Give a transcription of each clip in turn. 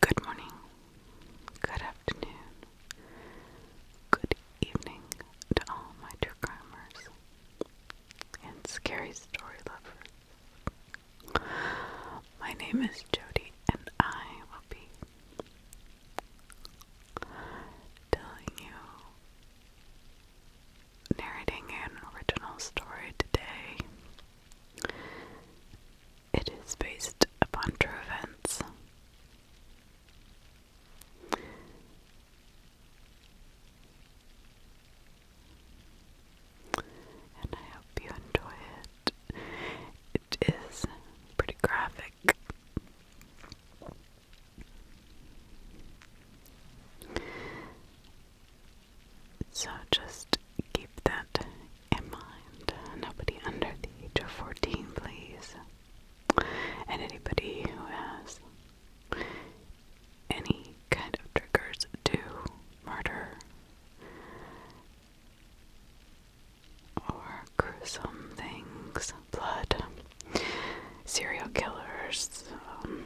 Good morning, good afternoon, good evening to all my true crimers and scary story lovers. My name is Jody, and I will be telling you, narrating an original story today. It is based upon true events. And I hope you enjoy it. It is pretty graphic. So just keep that in mind. Nobody under the age of 14, please. And anybody who has any kind of triggers to murder or gruesome things, blood, serial killers. Um,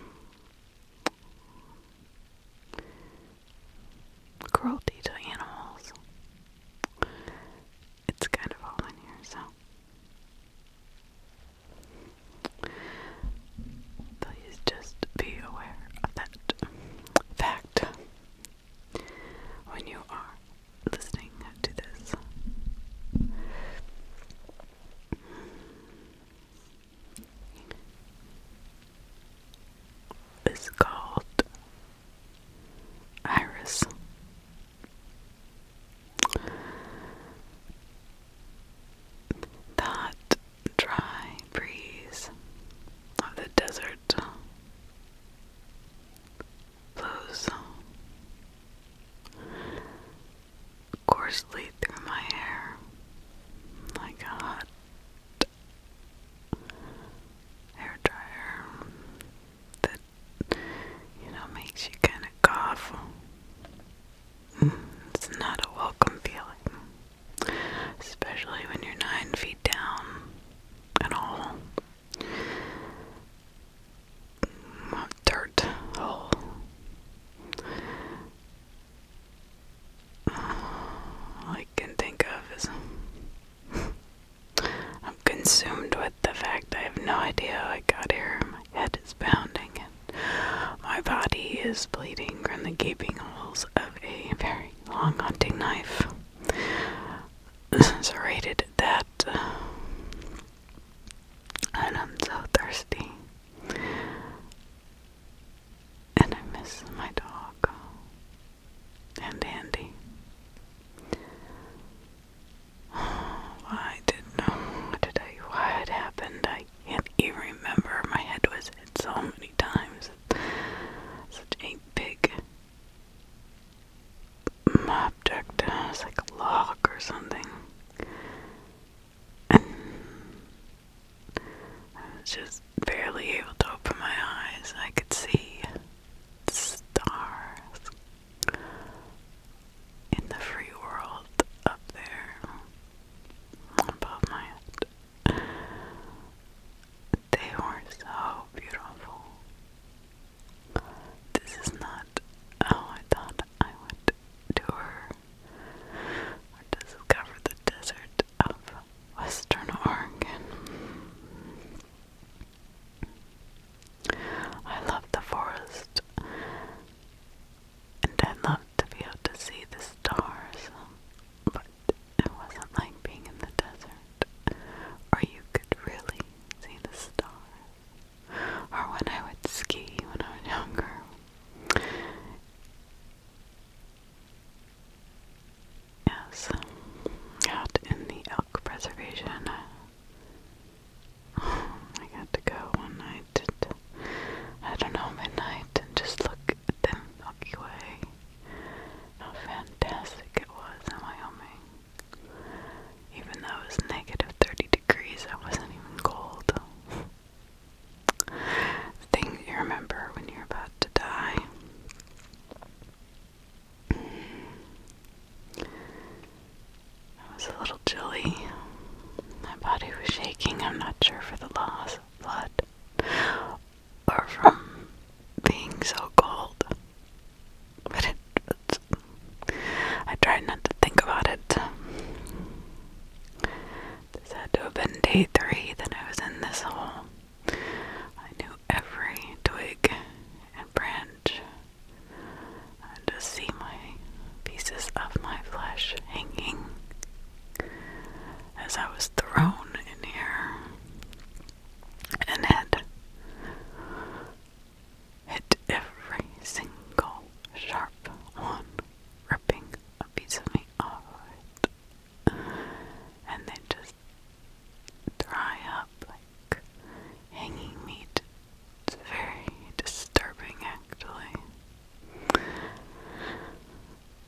cruelty to animals. It's kind of all in here, so. Please just be aware of that fact when you are listening to this. It's called Iris that dry breeze of the desert blows coarsely through my hair like a hot hair dryer that you know makes you kind of cough. Mm, it's not a welcome feeling especially when you're nine feet down at all. Dirt hole. I can think of is I'm consumed with the fact I have no idea how I got here. My head is pounding and my body is bleeding from the gaping holes of a very long hunting knife. so that. Uh, and I'm so thirsty. And I miss my dog. And Andy. Why did why did I why it happened? I can't even remember. My head was hit so many times. Such a big object. It's like a log or something. I was just barely able to open my eyes. I could see stars in the free world up there above my head. They were so beautiful. This is not how I thought I would tour or discover the desert of Western Oregon. I love the forest and I love to be able to see the stars, it wasn't like being in the desert, or you could really see the stars. Or when I would ski when I was younger. Yes, out in the elk preservation. I got to go one night I don't know, midnight and just look at the Milky Way how fantastic it was in Wyoming. Even though it was negative 30 degrees, I wasn't even cold. Things you remember when you're about to die. Mm. It was a little chilly. My body was shaking. I'm not sure for the loss of blood or from being so cold. But it, I tried not to think about it. This had to have been day three that I was in this hole. I knew every twig and branch. To see my pieces of my flesh hanging as I was thrown in here and had hit every single sharp one, ripping a piece of me off And then just dry up like hanging meat. It's very disturbing, actually.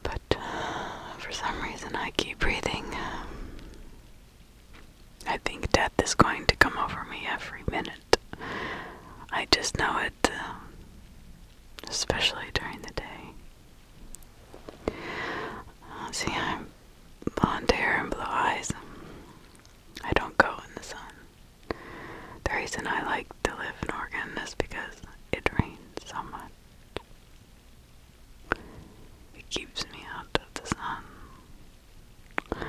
But uh, for some reason, I keep breathing. Um, I think death is going to come over me every minute. I just know it, uh, especially during the day. Uh, see, I'm blonde hair and blue eyes. I don't go in the sun. The reason I like to live in Oregon is because it rains so much. It keeps me out of the sun.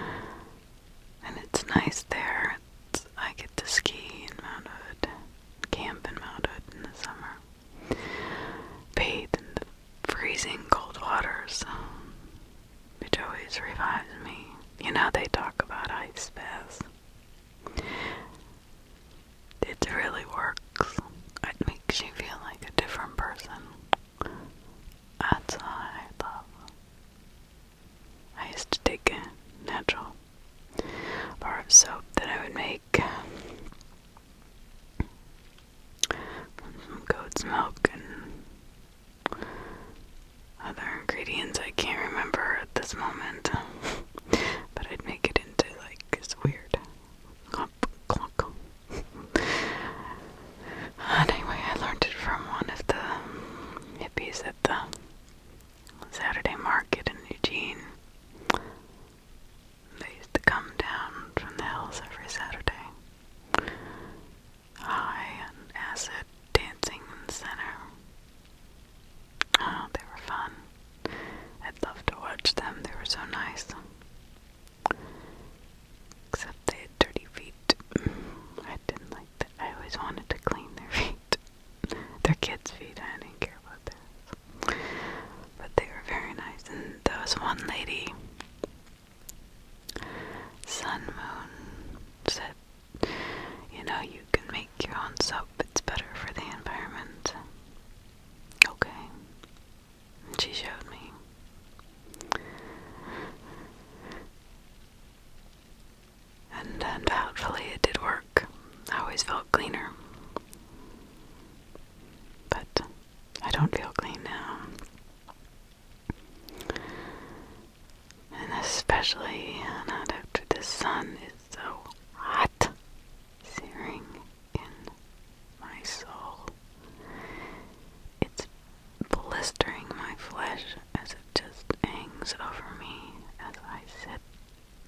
And it's nice there. I get to ski in Mount Hood, camp in Mount Hood in the summer, bathe in the freezing cold waters, um, which always revives me. You know, they talk about ice baths. It really works. It makes you feel like a different person. That's what I love. I used to take a natural bar of soap that I would make from goat's milk and other ingredients I can't remember at this moment but I'd make it into like this weird anyway, I learned it from one of the hippies at the Saturday market in Eugene. They used to come down from the hills every Saturday. High on acid dancing in the center. Oh, they were fun. I'd love to watch them. They were so nice. Except they had dirty feet. I didn't like that. I always wanted to clean their feet. Their kids' feet. I didn't care about that. But they were very nice. And there was one lady, Sun Moon, said, you know, you can make your own soap. It's better for the environment. Okay. She showed me. And, and doubtfully it did work. I always felt cleaner. But I don't feel clean now. And especially not after the sun is so hot, searing in my soul. It's blistering my flesh as it just hangs over me as I sit.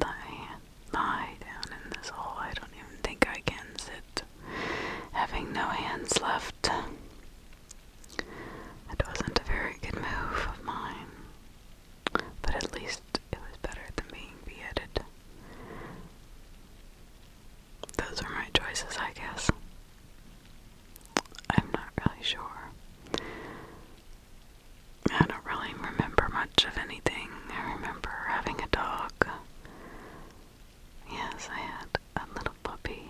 I lie down in this hole. I don't even think I can sit, having no hands left. It wasn't a very good move of mine. But at least it was better than being beheaded. Those are my choices, I guess. I'm not really sure. I don't really remember much of anything. I remember having a dog. Yes, I had a little puppy.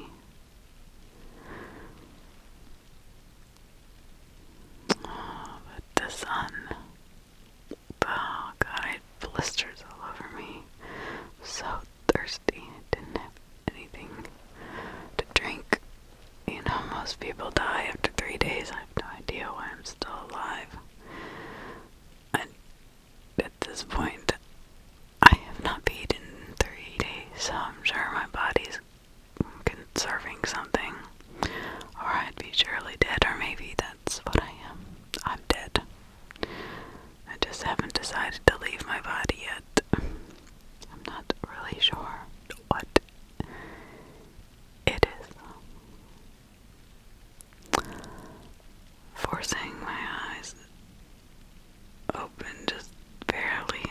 Oh, but the sun. Oh god, blisters all over me. So thirsty. didn't have anything to drink. You know, most people die after three days. I have no idea why I'm still alive. at this point, I have not peed in three days, so I'm sure my body's conserving something. Or I'd be surely dead, or maybe that. That's what I am. I'm dead. I just haven't decided to leave my body yet. I'm not really sure what it is. Forcing my eyes open just barely.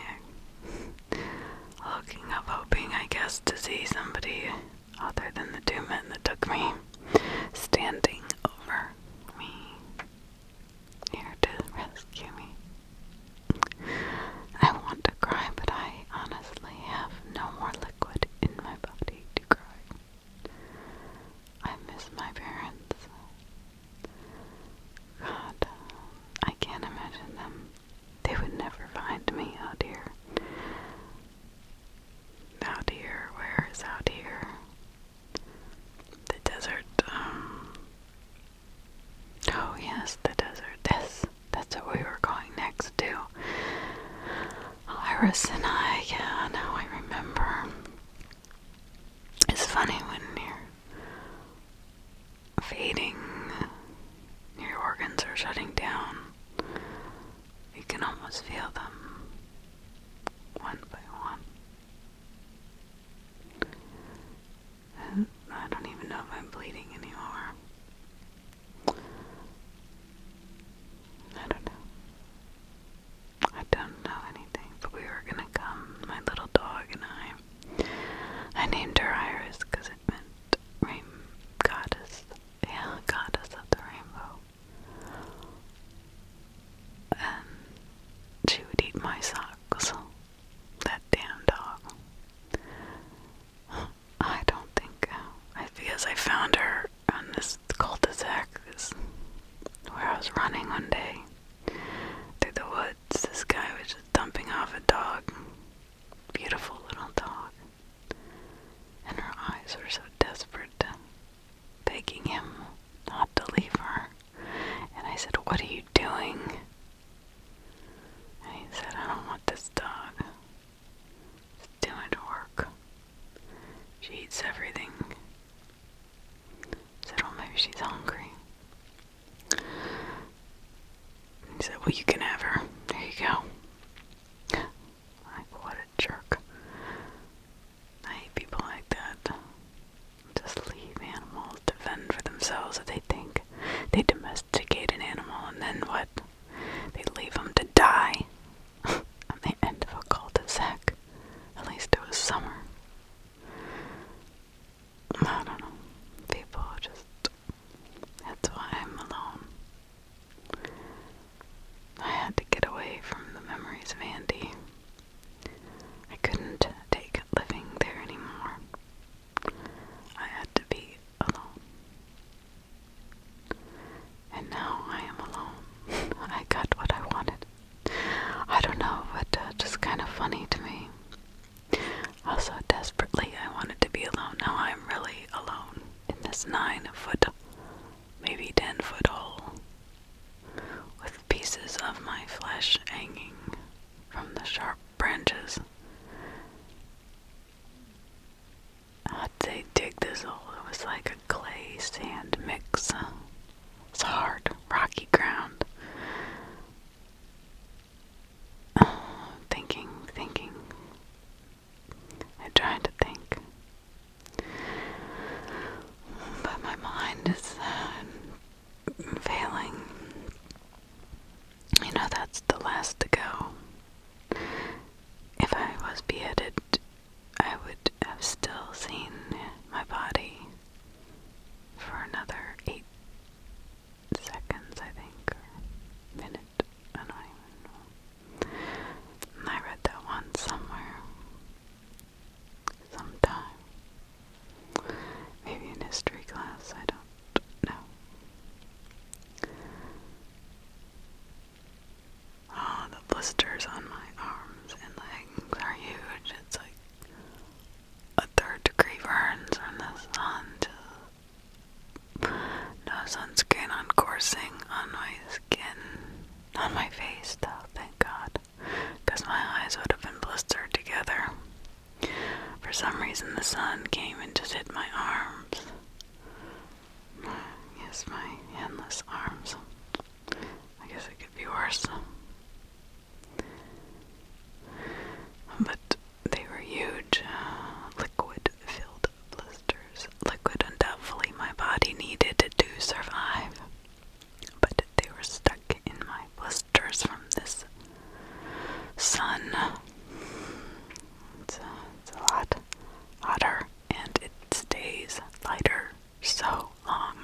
Looking up, hoping, I guess, to see somebody other than the two men that took me standing over me here to rescue me. I want to cry, but I honestly have no more liquid in my body to cry. I miss my parents. God, I can't imagine them. They would never find me out here out here, where is out here? The desert, um, oh yes, the desert, this, that's what we were going next to. Iris and I, yeah, now I remember. It's funny when you're fading, your organs are shutting down. You can almost feel them one by one. I don't even know if I'm bleeding anymore. I don't know. I don't know anything, but we were gonna come, my little dog and I. I named her Iris because rain goddess, yeah, goddess of the rainbow. And she would eat my socks. That damn dog. I don't think I because I found her on this cul-de-sac where I was running one day through the woods. This guy was just dumping off a dog. Beautiful little dog and her eyes were so desperate, begging him not to leave her. And I said, What are you doing? And he said, I don't want this dog. It's too much work. She eats everything. I said, "Oh, maybe she's hungry. He said, Well, you can have her. There you go. Like, what a jerk. I hate people like that. Just leave animals to fend for themselves if they think they domesticate an animal and then what? They leave them to die on the end of a cul-de-sac. At least it was summer. I don't know. People just that's why I'm alone. I had to get away from the memories of Andy. I couldn't take living there anymore. I had to be alone. And now I am alone. I got what I wanted. I don't know, but uh, just kind of funny to me. Also, desperately, I wanted to be alone. Now I'm really alone in this nine foot, maybe ten foot hole, with pieces of my flesh hanging from the sharp branches. How'd they dig this hole? It was like a clay sand mix. It's hard, rocky ground. thinking, thinking, I try to think. But my mind is um, failing. You know, that's the last to go. If I was beheaded, I would have still seen my body for another eight seconds, I think, minute. I don't even know. I read that one somewhere. Sometime. Maybe in history class, I don't know. Oh, the blisters on my arms and legs are huge. It's like a third degree burns from the sun no sunscreen on coursing on my skin, on my face though, thank God, because my eyes would have been blistered together. For some reason, the sun came and just hit my arms. Yes, my endless arms. I guess it could be worse. But they were huge, uh, liquid filled blisters, liquid undoubtedly my body needed to survive. But they were stuck in my blisters from this sun. It's, it's a lot hotter and it stays lighter so long.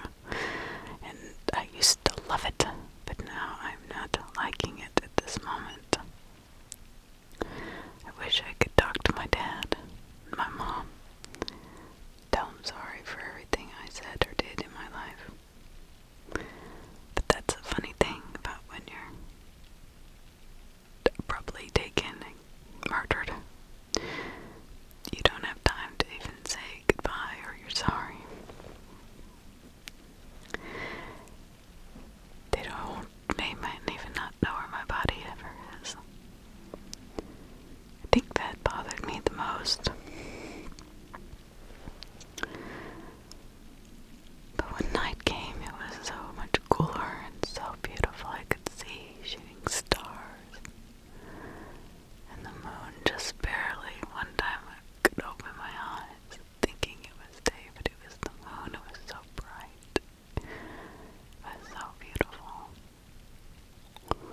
And I used to love it, but now I'm not liking it at this moment. I wish I could talk to my dad and my mom. Tell them sorry for everything I said or did in my life. But that's a funny thing about when you're abruptly taken and murdered. You don't have time to even say goodbye or you're sorry. They don't. They might even not know where my body ever is. I think that bothered me the most. But when night came, it was so much cooler and so beautiful. I could see shooting stars. And the moon just barely. One time I could open my eyes thinking it was day, but it was the moon. It was so bright. That's so beautiful.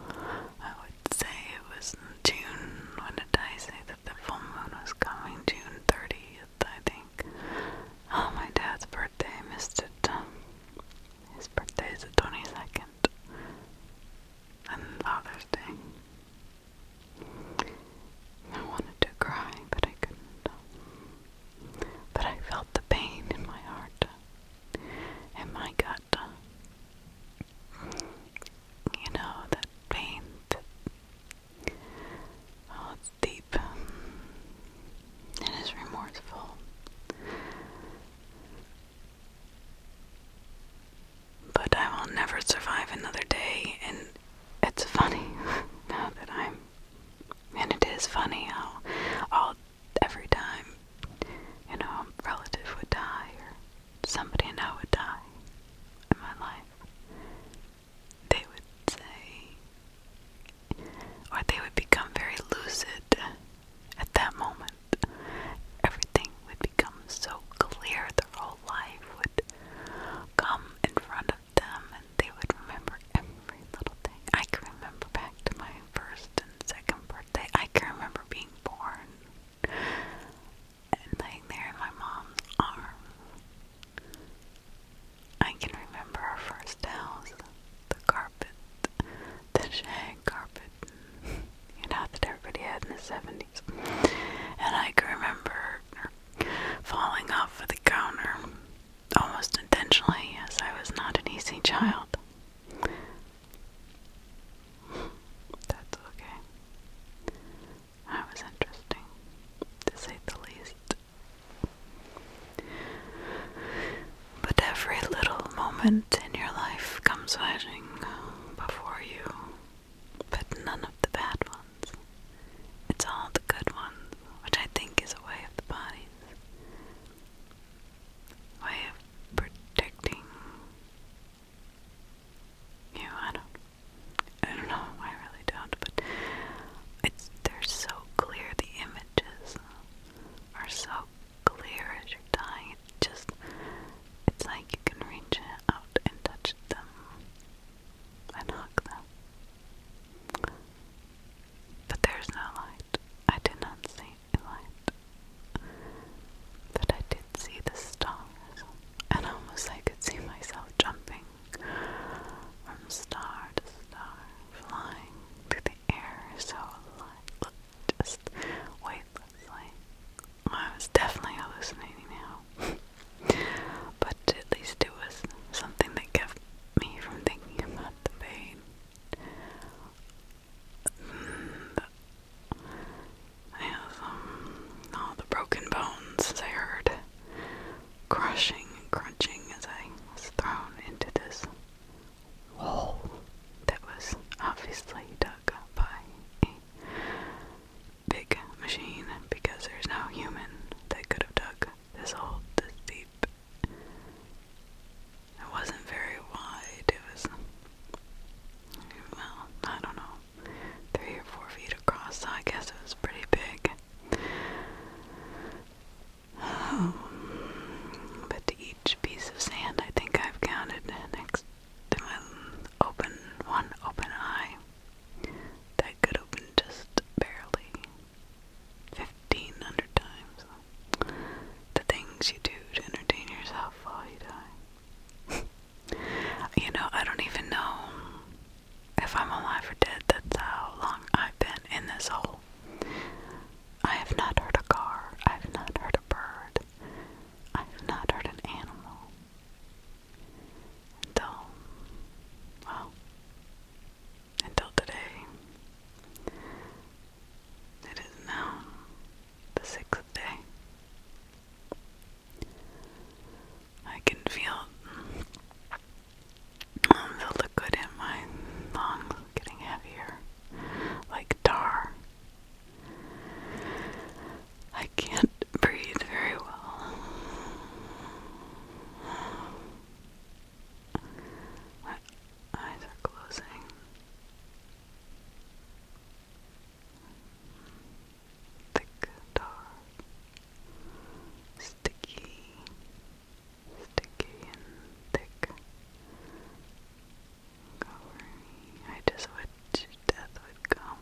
I would say it was June. When did I say that the full moon was coming? June 30th, I think. Oh, my dad's birthday. missed it. His birthday the 22nd. And Father's Day. I wanted to cry, but I couldn't but I felt the pain in my heart and my gut. You know, that pain, oh, it's deep it's remorseful. But I will never survive another day, and it's funny now that I'm and it is funny how every time, you know, a relative would die or somebody I know would die in my life, they would say, or they would become very lucid at that moment. Everything would become so clear, their whole life would come in front of them and they would remember every little thing. I can remember back to my first and second birthday. I can remember being born and laying there in my mom's arms. I can remember our first house, the carpet, the shag carpet, you that everybody had in the 70s. And I can remember falling off the counter almost intentionally, yes. I was not an easy child. That's okay. That was interesting, to say the least. But every little moment in your life comes rushing before you, but none of the bad ones. It's all the good ones, which I think is a way of the body way of protecting you. I don't, I don't know. I really don't. But it's they're so clear. The images are so clear as you just it's like you can reach out and touch them and hug them. But there is no light. I did not see light. But I did see the stars, and almost I could see myself jumping from star to star, flying through the air so light, just weightlessly. I was definitely hallucinating now, but at least it was something that kept me from thinking about the pain. Mm, I have um, all the broken bones as I heard crushing and crunching as I was thrown into this hole that was obviously dug by a big machine because there's no human that could have dug this hole this deep it wasn't very wide. It was, well, I don't know, three or four feet across, so I guess it was pretty big. Um, but each piece of sand, I think I've counted next open one open eye that could open just barely. 1500 times the things you do to entertain yourself while you die. you know, I don't even know if I'm alive or dead. That's how long I've been in this hole. I have not heard a car, I have not heard a bird, I have not heard an animal. Until, well, until today. It is now the sixth day. I can feel, um, the good in my lungs getting heavier, like tar. I can't breathe very well. My eyes are closing. Thick, dark, sticky, sticky and thick. Cover I just wish death would come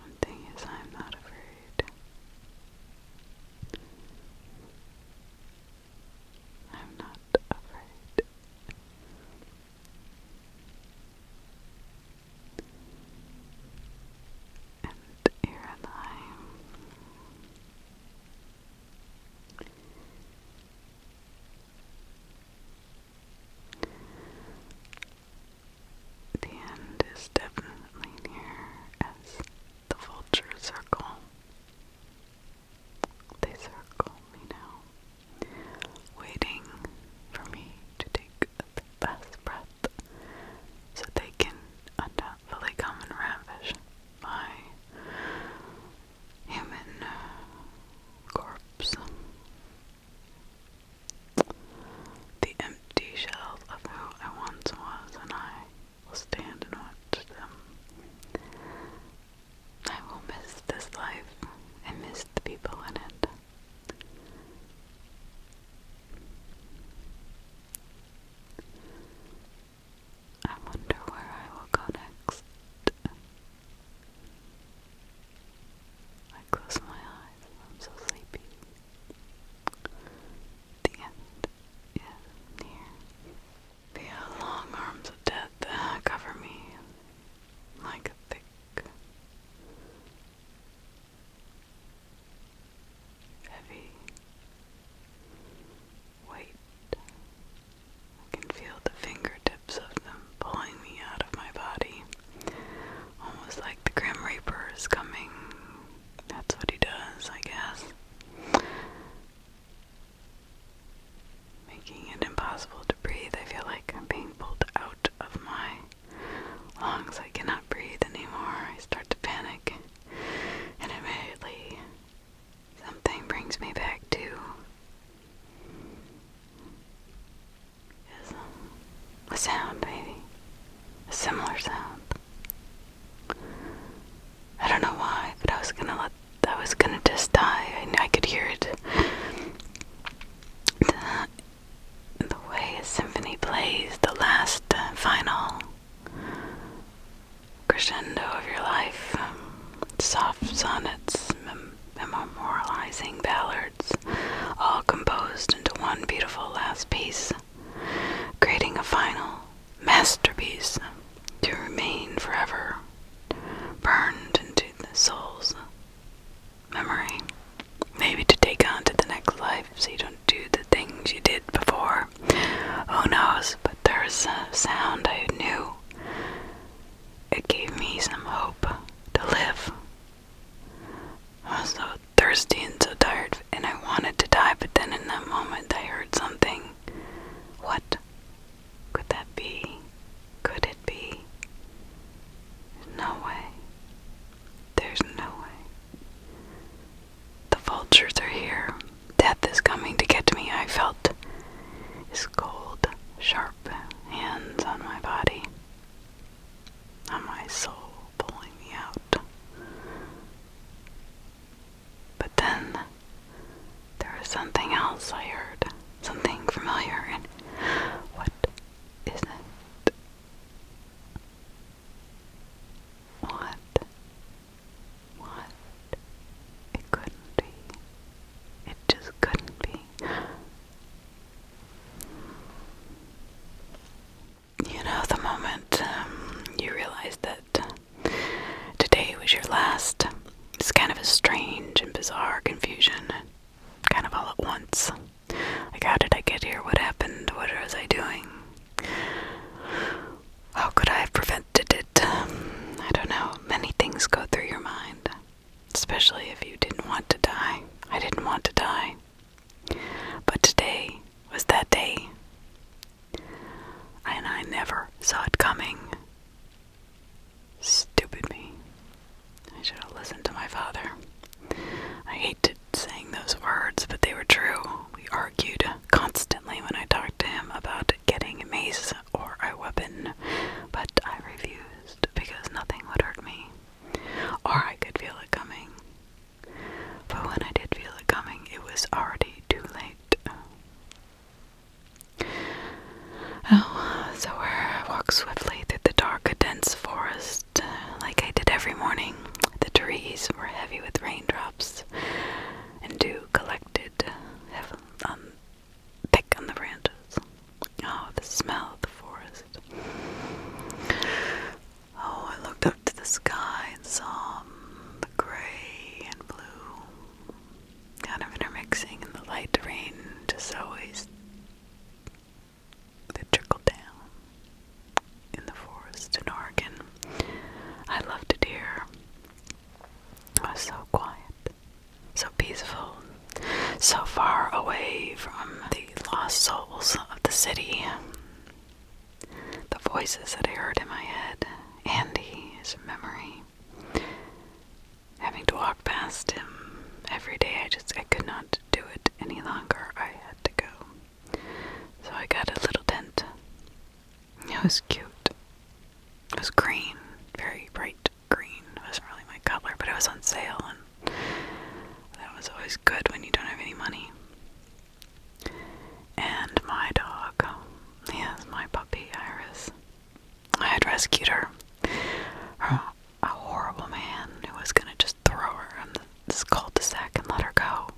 one thing is, I'm not afraid. I'm not afraid. And here I am. The end is definitely near as the vulture circle. They circle me now, waiting for me to take the best breath so they can undoubtedly come and ravish my human uh, corpse. The empty shells of who I once was, and I will stand and watch them. I will miss this life and miss the people in it. I wonder where I will go next. I close my eyes, I'm so sleepy. The end is near. The long arms of death cover me like a thick, heavy weight. I can feel the fingertips of them pulling me out of my body. Almost like the Grim Reaper is coming. That's what he does, I guess. Making it impossible to breathe. I feel like I'm being pulled out of my lungs. I cannot breathe anymore. I start to panic. And immediately, something brings me back to a, sound, maybe. A similar sound. I don't know why, but I was gonna let. I was gonna just die. I, I could hear it. The, way a symphony plays, the last uh, final crescendo of your life, um, soft sonnets, memorializing ballads, all composed into one beautiful last piece, creating a final masterpiece to remain forever burned into the soul's memory. Maybe to take on to the next life so you don't do the things you did before. Who knows? But there's a sound I knew it gave me some hope to live. I was so thirsty and so tired, and I wanted to die, but then in that moment I heard something. What could that be? Could it be? No way. There's no way. The vultures are here. Death is coming to get me. I felt It's cold, sharp hands on my body, on my soul, pulling me out. But then there was something else I heard, something familiar, and what is it? What? What? It couldn't be. It just couldn't be. You know, the moment um, you realize that today was your last, it's kind of a strange and bizarre confusion, kind of all at once. Like, how did I get here? What happened? What was I doing? How could I have prevented it? I don't know. Many things go through your mind especially if you didn't want to die. I didn't want to die. But today was that day. And I never saw it coming. Stupid me. I should have listened to my father. I hated saying those words, but they were true. We argued constantly when I talked to him about getting a mazes or a weapon, but I refused because nothing would hurt me, or I could feel it coming. But when I did feel it coming, it was already too late. Oh, so I walked swiftly through the dark, dense forest, like I did every morning. The trees were heavy with raindrops, and dew collected thick on the branches. Oh, the smell of the forest. Oh, I looked up to the sky and saw um, the gray and blue kind of intermixing in the light rain just always that trickled down in the forest in Oregon. I loved it here. It was so quiet so peaceful, so far away from the lost souls of the city. The voices that I heard in my head, Andy, his memory. Having to walk past him every day, I just I could not do it any longer. I had to go. So I got a little tent. It was cute. It was green, very bright green wasn't really my color, but it was on sale, and that was always good when you don't have any money. And my dog, yes, my puppy Iris. I had rescued her a horrible man who was gonna just throw her in this cul de and let her go.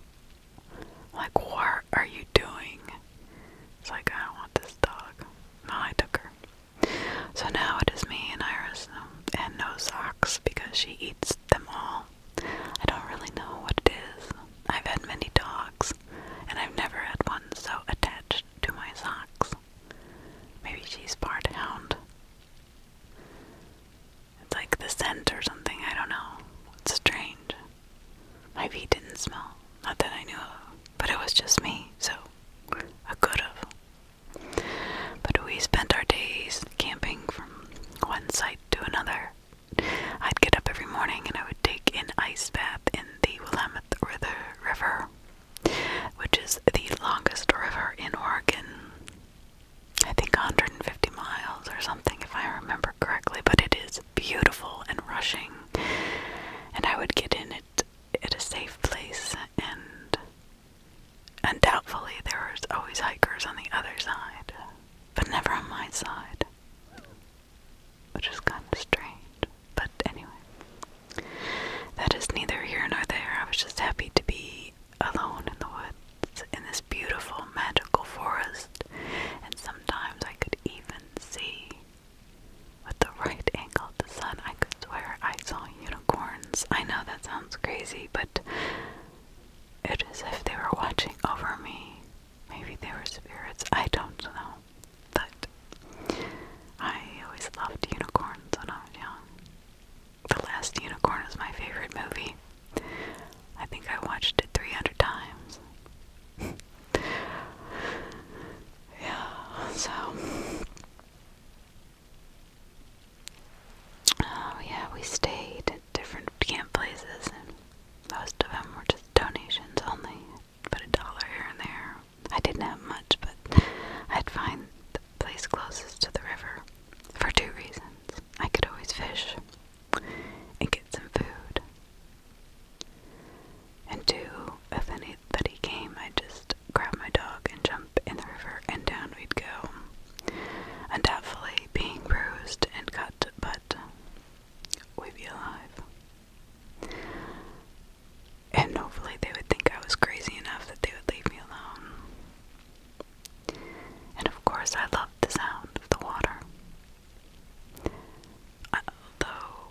Like, what are you doing? It's like, I want this dog. No, I took her. So now it is me and Iris, um, and no socks because she eats them all. I don't really know what it is. I've had many dogs, and I've never had one so attached to my socks. Maybe she's part hound. It's like the scent or something, I don't know. It's strange. My feet didn't smell, not that I knew but it was just me, so I could have. But we spent our days camping from one site to another. I'd get up every morning and I would take an ice bath in the Willamette River, which is the longest river in Oregon. I think 150 miles or something, if I remember correctly, but it is beautiful and rushing. And I would get in it it is a safe place and and doubtfully there was always hikers on the other side, but never on my side. Which is kind of strange. But anyway. That is neither here nor there. I was just happy to be alone in the woods in this beautiful magical forest. And sometimes I could even see with the right angle of the sun. I could swear I saw unicorns. I know that sounds crazy, but it is if they were watching over me. Maybe they were spirits. I don't know. But I always loved unicorns when I was young. The Last Unicorn is my favorite movie. I think I watched it 300 times. yeah, so Oh, yeah, we stayed at different camp places, and most of them were just donations only. Put a dollar here and there. I didn't have much, but I'd find the place closest to the river for two reasons. I could always fish and get some food, and two, if of any that came, I'd just grab my dog and jump in the river, and down we'd go. Undoubtedly being bruised and cut, but we'd be alive. And hopefully they would think I was crazy enough that they would leave me alone. And of course, I loved the sound of the water. Although uh,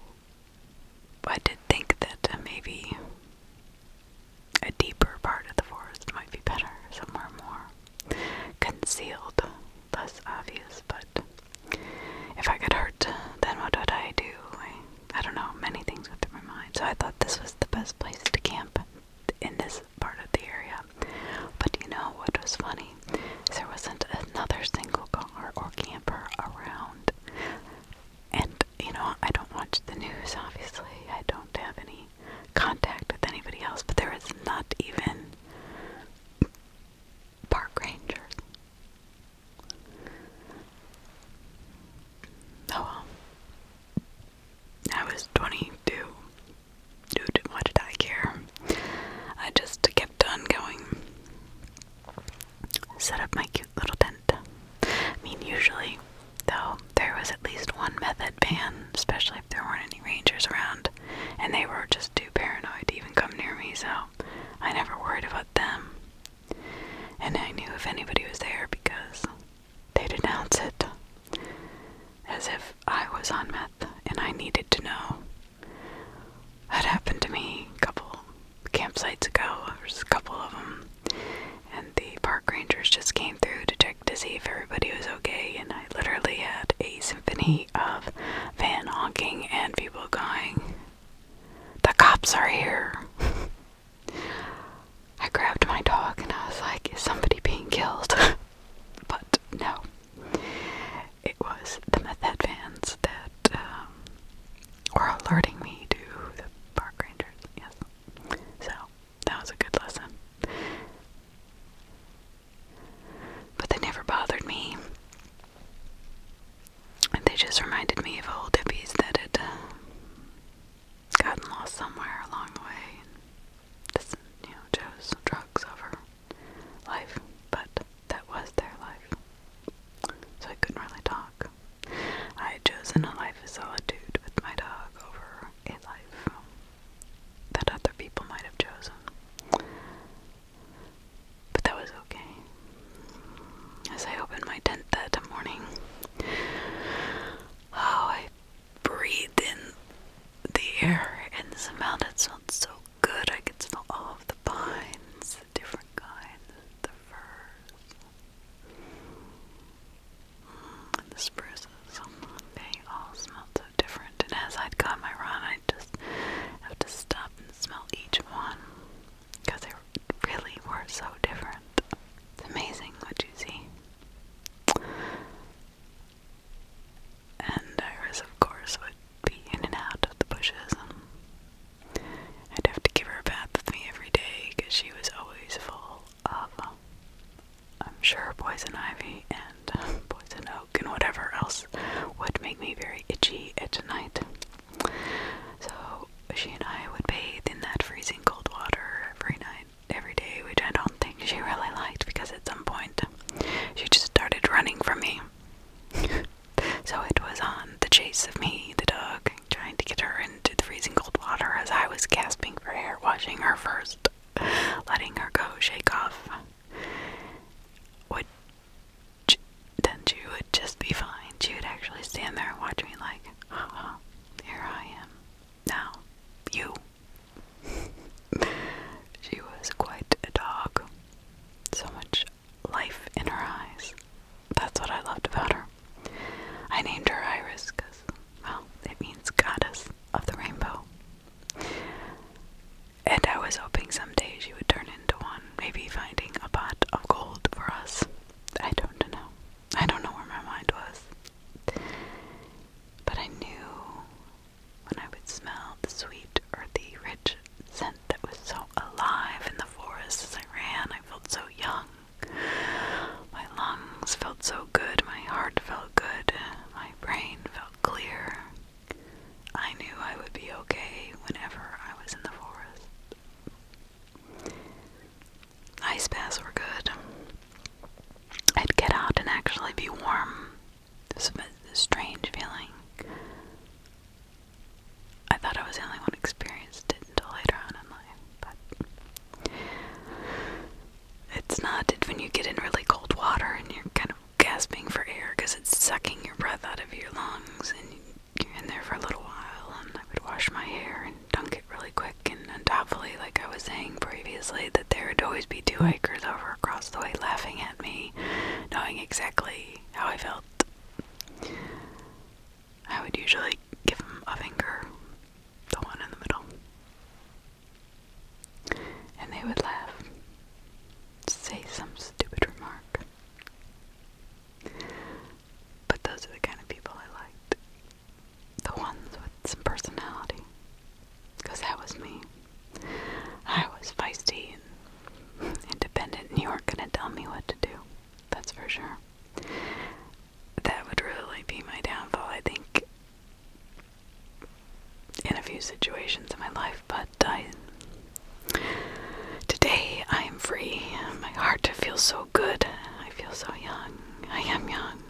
I did think that maybe a deeper part of the forest might be better, somewhere more concealed, less obvious, but if I get hurt, then what would I do? I, I don't know, many things with my mind, so I thought this was the best place to camp in this part of the area. But you know what was funny? There wasn't another single car or camper around and you know, I don't watch the news obviously. I don't have any contact with anybody else, but there is not even park rangers. Oh I was 22. Dude, why did I care? I just kept on going set up my cute little tent. I mean, usually, though, there was at least one method man, especially if there weren't any rangers around, and they were just too paranoid to even come near me, so I never worried about them. And I knew if anybody was there because they'd announce it. As if I was on meth and I needed to know. Had happened to me a couple campsites ago. There's a couple of them, and the park rangers just came through to check to see if everybody was okay. And I literally had a symphony of van honking and people going, "The cops are here." I grabbed my dog and I was like, "Is somebody being killed?" but no. It was the methamphetamines that um, were alerting me to the park rangers. So, that was a good lesson. But they never bothered me. they just reminded me of old hippies that had uh, gotten lost somewhere along the way. And you know, chose drugs over life. But that was their life. So I couldn't really talk. I had chosen a life of solitude with my dog over a life that other people might have chosen. But that was okay. As I opened my tent that morning, oh, I breathed in the air and smelled it. smelled so good. I could smell all of the pines, the different kinds, the furs, the spruces, they all smell so different. And as I'd got my run, I just have to stop and smell each one because they really were so different. It's amazing what you see. And Iris, of course, would be in and out of the bushes I'd have to give her a bath with me every day because she was always full of, I'm sure, poison ivy and uh, poison oak and whatever else would make me very itchy at night. So she and I would bathe in that freezing cold water every night, every day, which I don't think she really liked because at some point she just started running from me. so it was on the chase of me, the dog, trying to get her into the freezing cold water as I was gasping for air, watching her first, letting her go, shake off. Would then she would just be fine. She would actually stand there and watch me like, oh, here I am. Now, you. she was quite a dog. So much life in her eyes that's what I loved about her. I named her Iris because, well, it means goddess of the rainbow. And I was hoping someday she would turn into one, maybe finding a pot of gold for us. I don't know. I don't know where my mind was. But I knew when I would smell the sweet, earthy, rich scent that was so alive in the forest as I ran, I felt so young. My lungs felt so good, my heart felt good, my brain felt clear. I knew I would be okay whenever I was in the forest. Ice baths were good. I'd get out and actually be warm. This was a strange feeling. I thought I was the only one who experienced it until later on in life but it's not it when you get in really cold water and you're kind of gasping for air because it's sucking your breath out of your lungs and you're in there for a little while and I would wash my hair and dunk it really quick and, and doubtfully like I was saying previously that there would always be two hikers over across the way laughing at me knowing exactly how I felt I would usually give them a finger, the one in the middle. And they would laugh, say some stupid remark. But those are the kind of people I liked. The ones with some personality. Because that was me. I was feisty independent, and you weren't going to tell me what to do. That's for sure that would really be my downfall, I think, in a few situations in my life. But I, today I am free. My heart feels so good. I feel so young. I am young.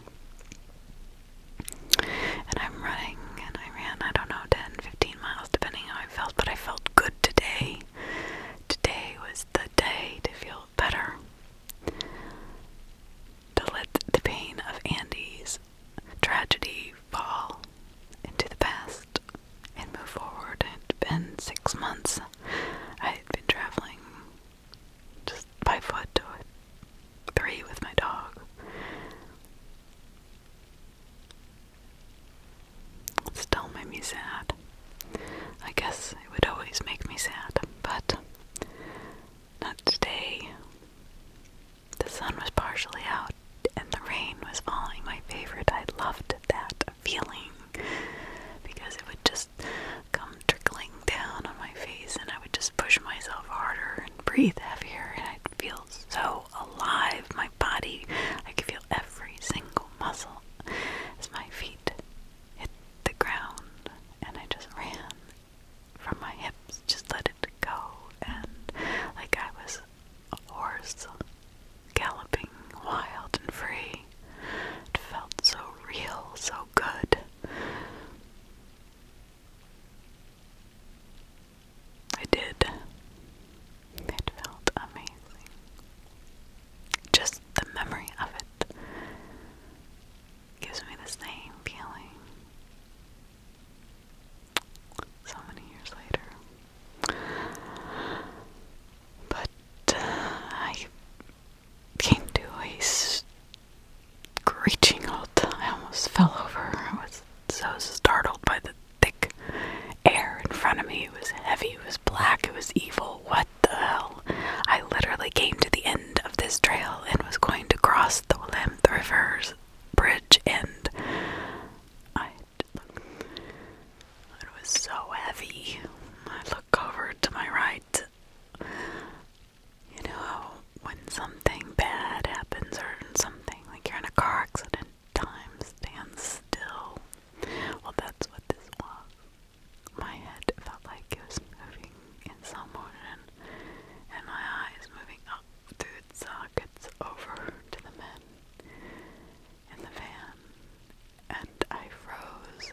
And I'm running, and I ran, I don't know, 10, 15 miles, depending how I felt, but I felt good today. Today was the day to feel better. To let the pain of Andy's tragedy fall into the past and move forward. It had been six months I had been traveling just by foot to three with my dog. Still made me sad. I guess it would always make me sad, but not today. The sun was partially out and the rain was falling. My favorite. I loved that feeling because it would just come trickling down on my face and I would just push myself harder and breathe heavier and I'd feel so alive. My body, I could feel every single muscle as my feet hit the ground and I just ran from my hips, just let it go, and like I was a horse galloping wild and free. It felt so real, so good. I did. It felt amazing just the memory of it gives me the same feeling. So many years later. But uh, I came to a screeching halt. I almost fell over. I was so startled by the thick air in front of me. It was heavy, it was black, it was evil. What the hell? I literally came to the end of this trail and was going to cross the Willamette River's bridge and I it was so heavy. I look over to my right. You know when something bad happens or something, like you're in a car accident, time stands still. Well that's what this was. My head felt like it was moving in some motion, and my eyes moving up through its sockets over to the men in the van, and I froze,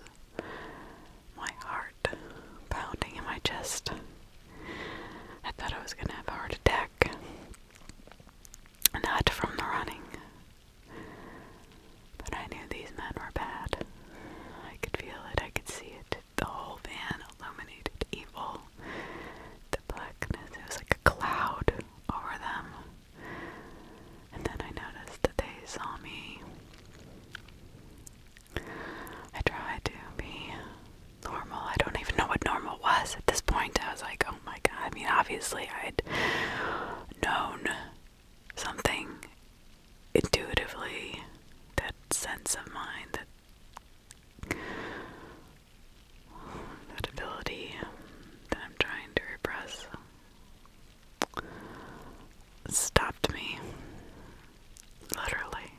my heart pounding in my chest. I thought I was going to have a heart attack, not from the running, but I knew these men were bad. I could feel it, I could see it. The whole van illuminated evil. The blackness, it was like a cloud over them. And then I noticed that they saw me. I tried to be normal. I don't even know what normal was at this point. I was like, oh my god. I mean, obviously, I'd known something intuitively, that sense of mind, that that ability that I'm trying to repress stopped me. Literally.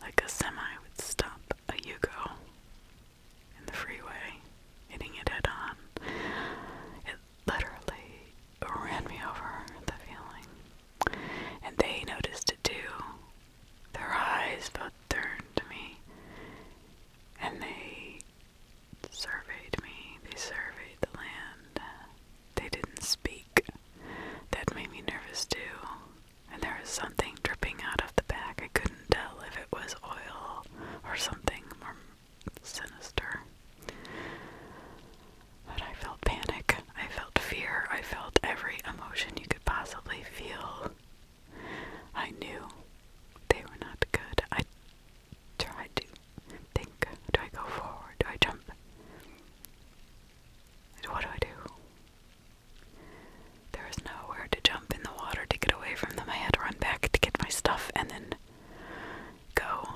Like a semi would stop a Yugo in the freeway, hitting it head on literally ran me over the feeling. And they noticed it too. Their eyes both turned to me and they surveyed me. They surveyed the land. They didn't speak. That made me nervous too. And there was something dripping out of the back. I couldn't tell if it was oil or something more sinister. But I felt panic, I felt fear, I felt every emotion you could possibly feel. I knew they were not good. I tried to think do I go forward? Do I jump? What do I do? There was nowhere to jump in the water to get away from them. I had to run back to get my stuff and then go.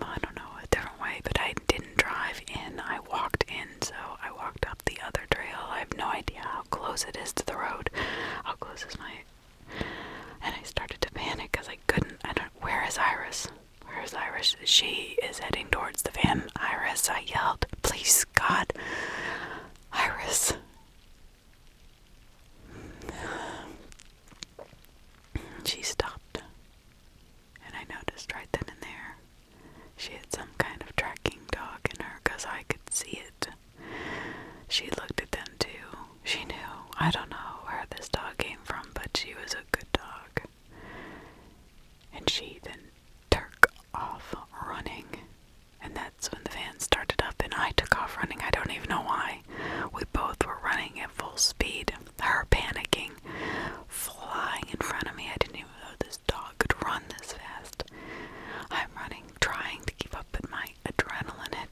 I don't know, a different way, but I didn't drive in. I walked in, so I walked up the other trail. I have no idea how close it is to the road. How close is my. And I started to panic because I couldn't. I don't. Where is Iris? Where is Iris? She is heading towards the van. Iris, I yelled. Please, God. Iris. She stopped, and I noticed right then and there she had some kind of tracking dog in her because I could see it. She looked at them too. She knew. I don't know where this dog came from, but she was a good dog. And she then took off running. And that's when the van started up and I took off running. I don't even know why. We both were running at full speed her panicking, flying in front of me. I didn't even know this dog could run this fast. I'm running, trying to keep up, but my adrenaline had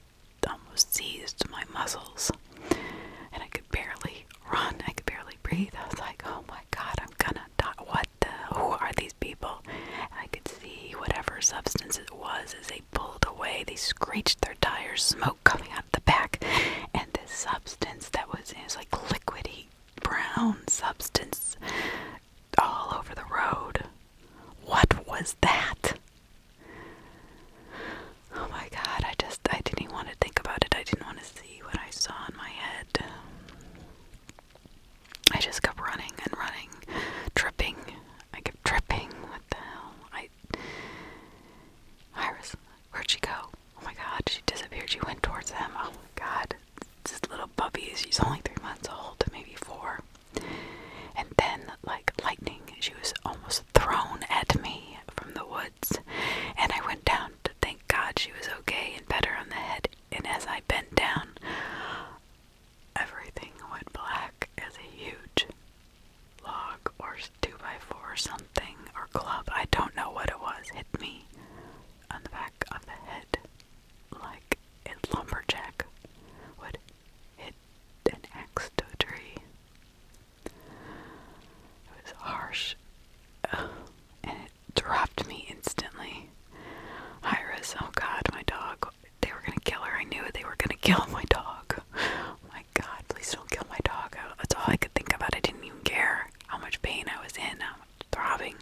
almost seized my muscles, and I could barely run. I could barely breathe. I was like, "Oh my God, I'm gonna die! What the? Who are these people?" I could see whatever substance it was as they pulled away. They screeched their tires, smoke coming out the back, and this substance that was it like liquidy brown substance all over the road. What was that? Oh my god, I just I didn't want to think about it. I didn't want to see what I saw in my head. I just kept running and running, tripping. I kept tripping. What the hell? Iris, where'd she go? Oh my god, she disappeared. She went towards them. Oh my god. This little puppy, she's only three months old, maybe four. And then, like lightning, she was almost thrown at me from the woods. And I went down thank God she was okay and better on the head. And as I bent down, everything went black as a huge log or 2x4 or something or club, I don't know what it was, hit me on the back of the head like a lumberjack would hit an axe to a tree. It was harsh and it dropped me instantly. Iris, oh god, my dog. They were gonna kill her. I knew They were gonna kill my dog. god, please don't kill my dog. That's all I could think about. I didn't even care how much pain I was in, i much throbbing.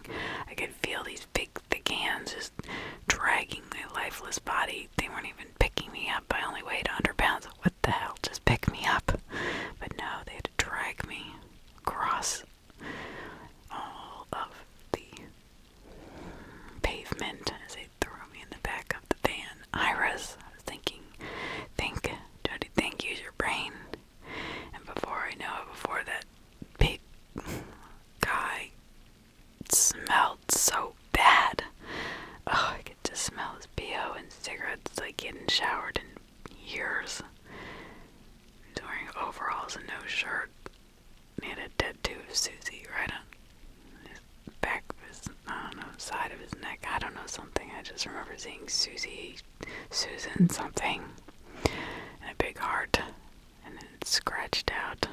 I could feel these big, thick hands just dragging my lifeless body. They weren't even picking me up. I only weighed 100 pounds. What the hell? Just pick me up. But no, they had to drag me across all of the pavement as they threw me in the back of the van. I was thinking, think, Jody, think, use your brain. And before I know it, before that big guy smelled so bad. Oh, I get to smell his BO and cigarettes like he hadn't showered in years. He's wearing overalls and no shirt. And he had a tattoo of Susie right on back of his, side of his neck. I don't know something. I just remember seeing Susie, Susan something, and a big heart, and then scratched out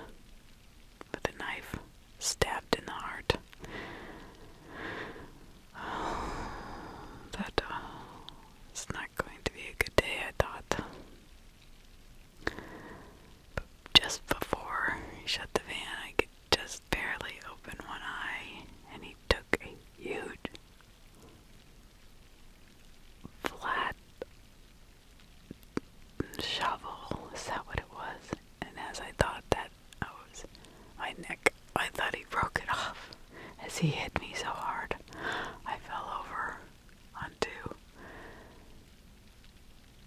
with a knife, stabbed in the heart. that uh, it's not going to be a good day, I thought. just before he shut the van, I could just barely open one eye, and he took a huge flat shovel. Is that what it was? And as I thought that, I was my neck. I thought he broke it off as he hit me so hard. I fell over onto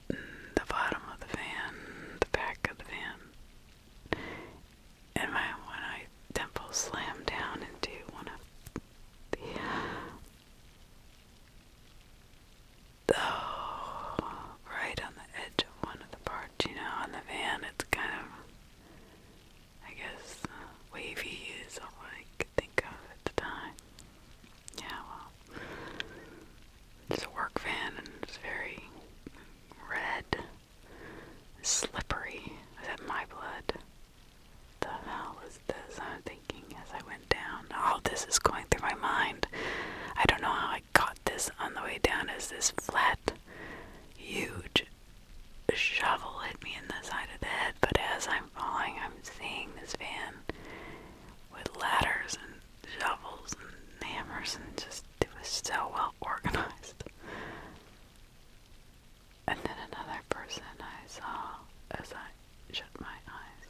the bottom of the van, the back of the van, and my one eye temple slammed down into one of the. right on the edge of one of the parts, you know, on the van. It's kind of, I guess, wavy is all I could think of at the time. Yeah, well, it's a work van and it's very red, slippery. Is that my blood? The hell is this? I'm thinking as I went down. All this is going through my mind. I don't know how I got this on the way down. Is this flat, huge shovel hit me in the side of the head? But as I'm falling, I'm seeing this van with ladders and shovels and hammers and just it was so well organized. And then another person I saw as I shut my eyes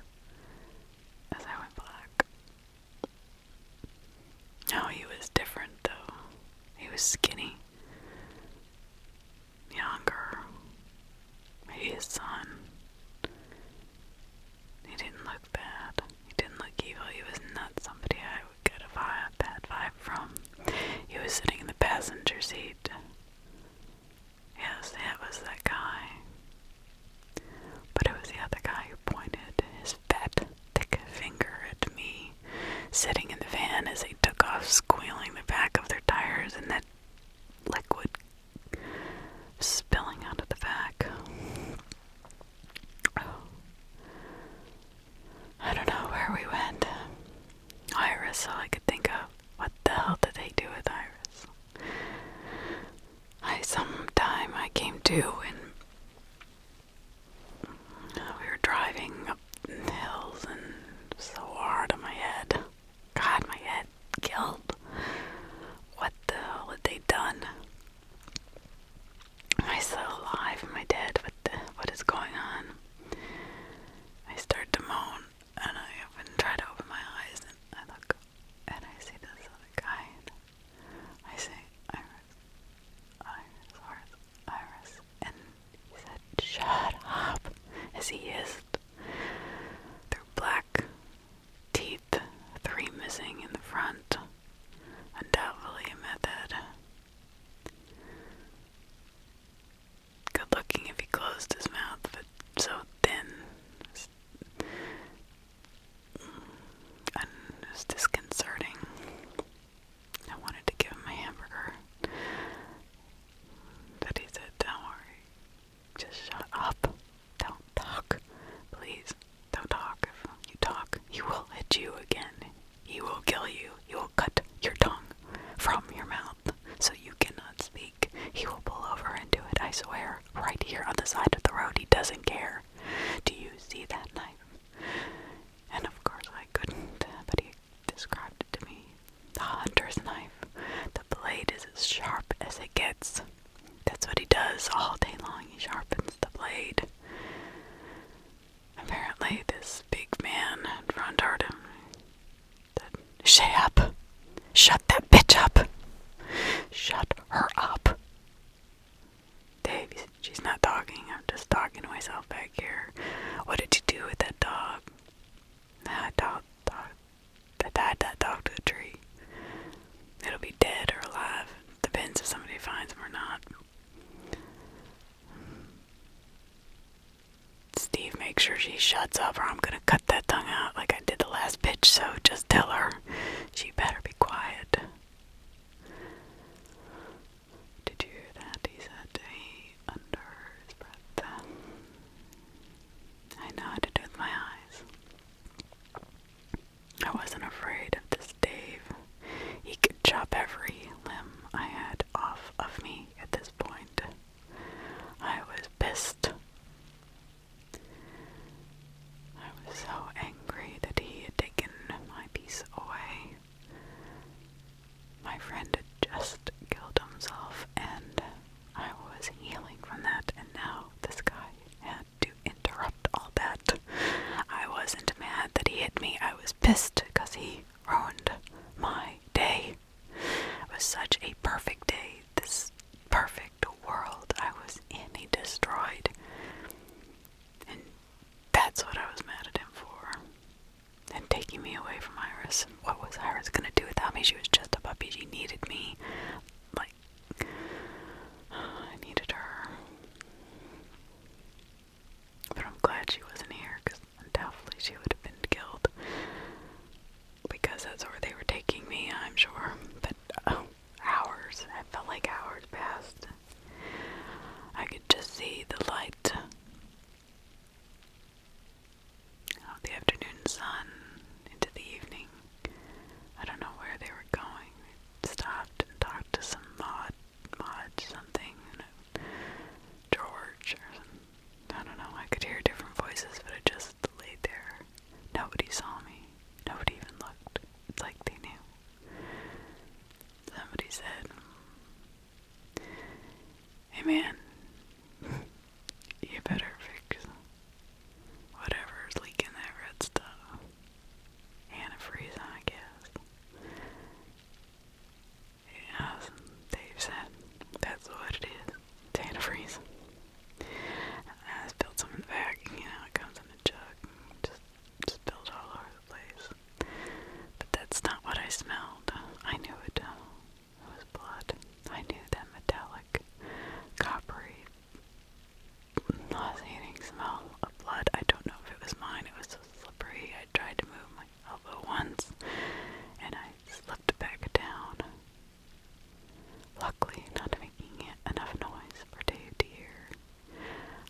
as I went back. No, he was different though. He was skinny, younger, maybe his son. He didn't look bad. He didn't look evil. He was not somebody I would get a bad vibe from. He was sitting in the passenger seat. Yes, that was the guy. But it was the other guy who pointed his fat, thick finger at me, sitting in the van as they took off, squealing the back of their tires and that liquid spilling out of the back. I don't know where we went. Iris, all I could think of. What the hell did they do with Iris? I some time I came to and uh, we were driving up hills and so hard on my head. God, my head killed. What the hell had they done? Am I still alive? Am I dead? What the, what is going on? I start to moan and I even try to open my eyes and I look and I see this other guy. And I say Iris, Iris, Iris, Iris, and he said, "Shut up," as he hissed through black teeth three missing in the front. Undoubtedly a method. Good looking if he closed his mouth, but so thin. it was disconcerting. I wanted to give him a hamburger. But he said, Don't worry. Just shut up. Don't talk. Please do talk. If you talk, he will hit you again. He will kill you. He will cut your tongue from your mouth so you cannot speak. He will pull over and do it, I swear. Right here on the side of the road, he doesn't care. Do you see that knife? And of course, I couldn't, but he described it to me. The hunter's knife. The blade is as sharp as it gets. That's what he does all day long. He sharpens the blade. Apparently, this big man in front heard him. Said, up! Shut that bitch up! Shut her up! Dave, she's not talking. I'm just talking to myself back here. What did you do with that dog? I tied that dog to a tree. It'll be dead or alive. Depends if somebody finds them or not. Steve, make sure she shuts up or I'm gonna cut that tongue out like I did the last bitch, so just tell her. She better be quiet. Did you hear that? He said under his breath. I know with my eyes. I wasn't afraid of this Dave. He could chop every limb I had off of me at this point. I was pissed. I was so angry that he had taken my piece away. My friend had just killed himself, and I was healing from that, and now this guy had to interrupt all that. I wasn't mad that he hit me, I was pissed because he ruined my day. It was such a perfect day, this perfect world I was in, he destroyed. And that's what I was mad at him for. And taking me away from Iris. And What was Iris gonna do without me? She was just a puppy. She needed me. Like, I needed her. But I'm glad she wasn't here because undoubtedly she would have been killed. Because that's where they were taking me, I'm sure. But oh, hours. I felt like hours passed. I could just see the light of the afternoon sun into the evening. I don't know where they were going stopped and talked to some mod, mod something, George or I don't know, I could hear different voices, but I just laid there. Nobody saw me. Nobody even looked. It's like they knew. Somebody said, Hey man, you better fix whatever's leaking that red stuff antifreeze, I guess. As Dave said, that's what it is. antifreeze. I spilled some in the bag, you know, it comes in a jug and just spilled all over the place. But that's not what I smelled. I knew it. Uh, it was blood. I knew that metallic, coppery nauseating smell of blood. I don't know if it was mine, it was so slippery. I tried to move my elbow once and I slipped back down. Luckily, not making enough noise for Dave to hear.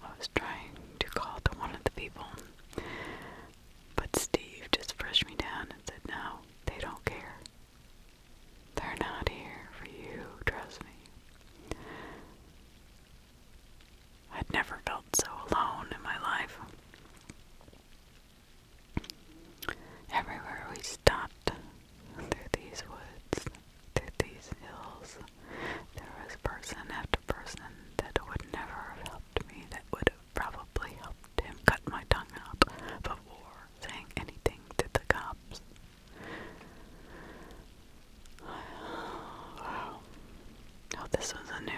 I was trying to call to one of the people, but Steve just pushed me down and said, No, they don't care. They're not here for you, trust me. I'd never felt so alone in my life. Everywhere we stopped, through these woods, through these hills, there was person after person that would never have helped me, that would have probably helped him cut my tongue out before saying anything to the cops. Wow. Oh, this was a new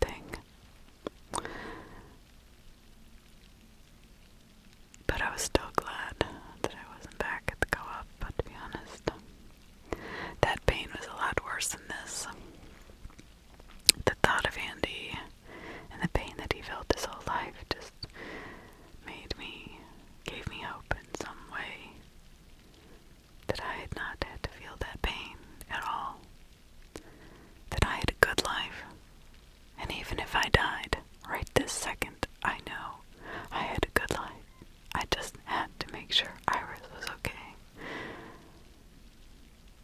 thing. But I was still glad that I wasn't back at the co op, but to be honest, that pain was a lot worse than this. The thought of Andy and the pain that he felt his whole life just made me, gave me hope in some way that I had not had to feel that pain at all, that I had a good life, and even if I died right this second, I know I had a good life. I just had to make sure Iris was okay.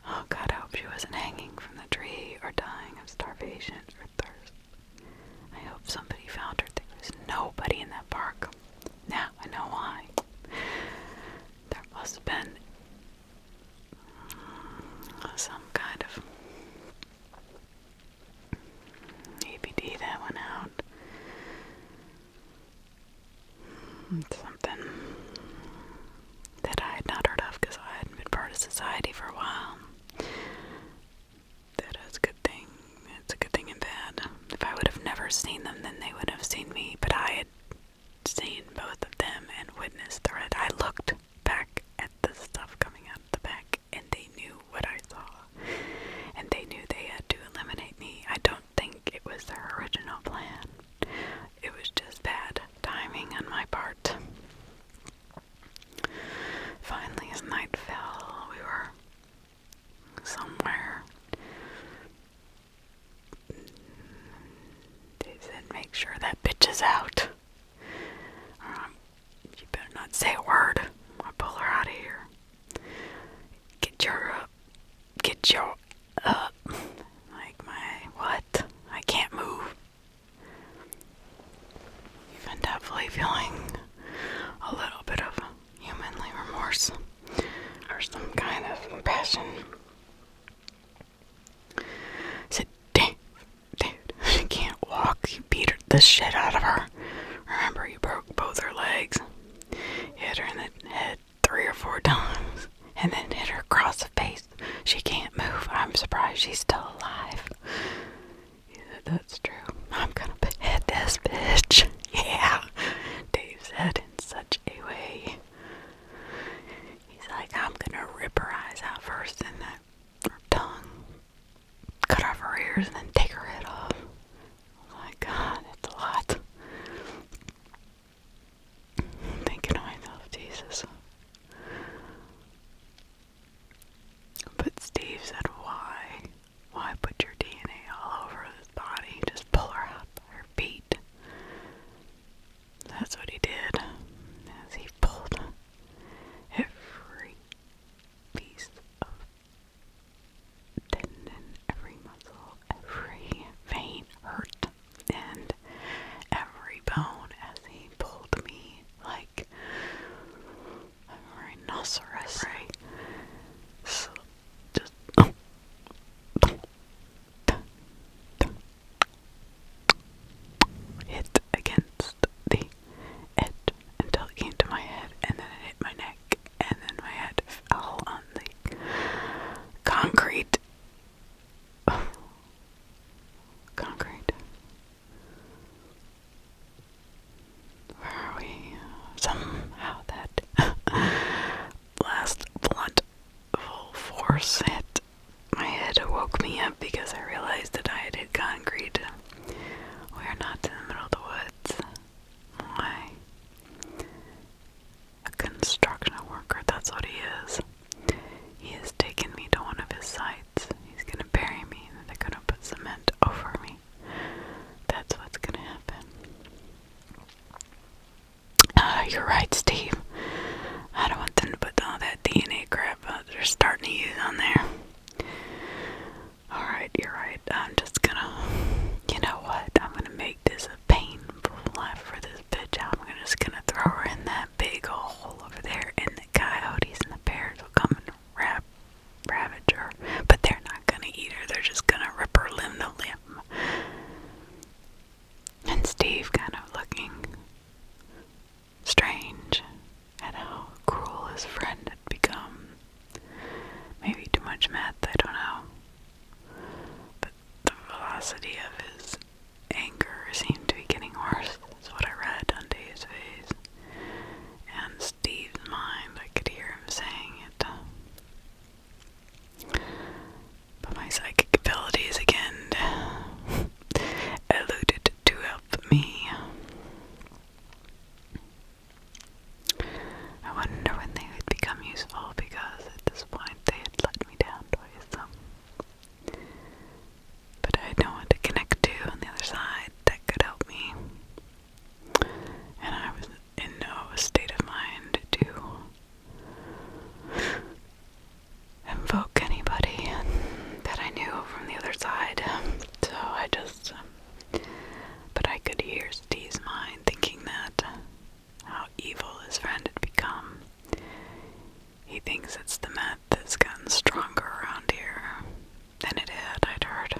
Oh God, I hope she wasn't hanging from the tree or dying of starvation or thirst I hope somebody found her. There was nobody in that park. Now I know why. There must have been some kind of ABD that went out. Something that I had not heard of because I hadn't been part of society for a while that is a good thing. It's a good thing and bad. If I would have never seen them, then they would have seen me, but I had seen both of them and witnessed the red. I looked back at the stuff coming out of the back, and they knew what I saw. And they knew they had to eliminate me. I don't think it was their original plan, it was just bad timing on my part. Finally, as night fell, we were somewhere. They said make sure that bitch is out. Um, you better not say a word. i pull her out of here. Get your up. Uh, get your up. Uh, like my what? I can't move. Even definitely feeling a little bit of humanly remorse or some kind of passion. I said, dude, she can't walk. You beat her, the shit out of her. Remember, you broke both her legs, hit her in the head three or four times, and then hit her across the face. She can't move. I'm surprised she's still alive. Yeah, that's true. I'm gonna hit this bitch. Yeah, Dave said in such a way. He's like, I'm gonna rip her eyes out first, then her tongue, cut off her ears, and then take her head off. Oh my god, it's a lot. thinking to myself, Jesus. But Steve said, Why? Why put your DNA all over his body? Just pull her up, her feet. That's what he did. As he pulled every piece of tendon, every muscle, every vein hurt, and every bone as he pulled me like a rhinoceros. So just hit against the edge until it came to my head, and then it hit my neck, and then my head fell on the concrete. Concrete. Where are we? Somehow that last blunt full force hit my head woke me up because I realized that I had hit concrete. We are not in the middle of the woods. Why? A construction worker, that's what he is. He has taken me to one of his sites. He's gonna bury me and they're gonna put cement over me. That's what's gonna happen. Uh, you're right, Steve. I don't want them to put all that DNA crap they're starting to use on there. Alright, you're right. I'm just gonna. You know what? I'm gonna make this a painful life for this bitch. I'm just gonna throw her in that big hole over there, and the coyotes and the bears will come and wrap Ravager, but they're not gonna eat her, they're just gonna rip her limb to limb. And Steve kind of looking strange at how cruel his friend had become. Maybe too much meth, I don't know. But the velocity of his anger seemed to be getting worse. That's what I read on his face. And Steve's mind. I could hear him saying it. But my psychic abilities again eluded to help me. I wonder when they would become useful because at this point they had let me down twice. But I had no to connect to on the other side that could help me and I was in no state of mind to invoke anybody that I knew from the other side. So I just, but I could hear Steve's mind thinking that how evil his friend had become. He thinks it's the meth that's gotten stronger around here, than it had, I'd heard.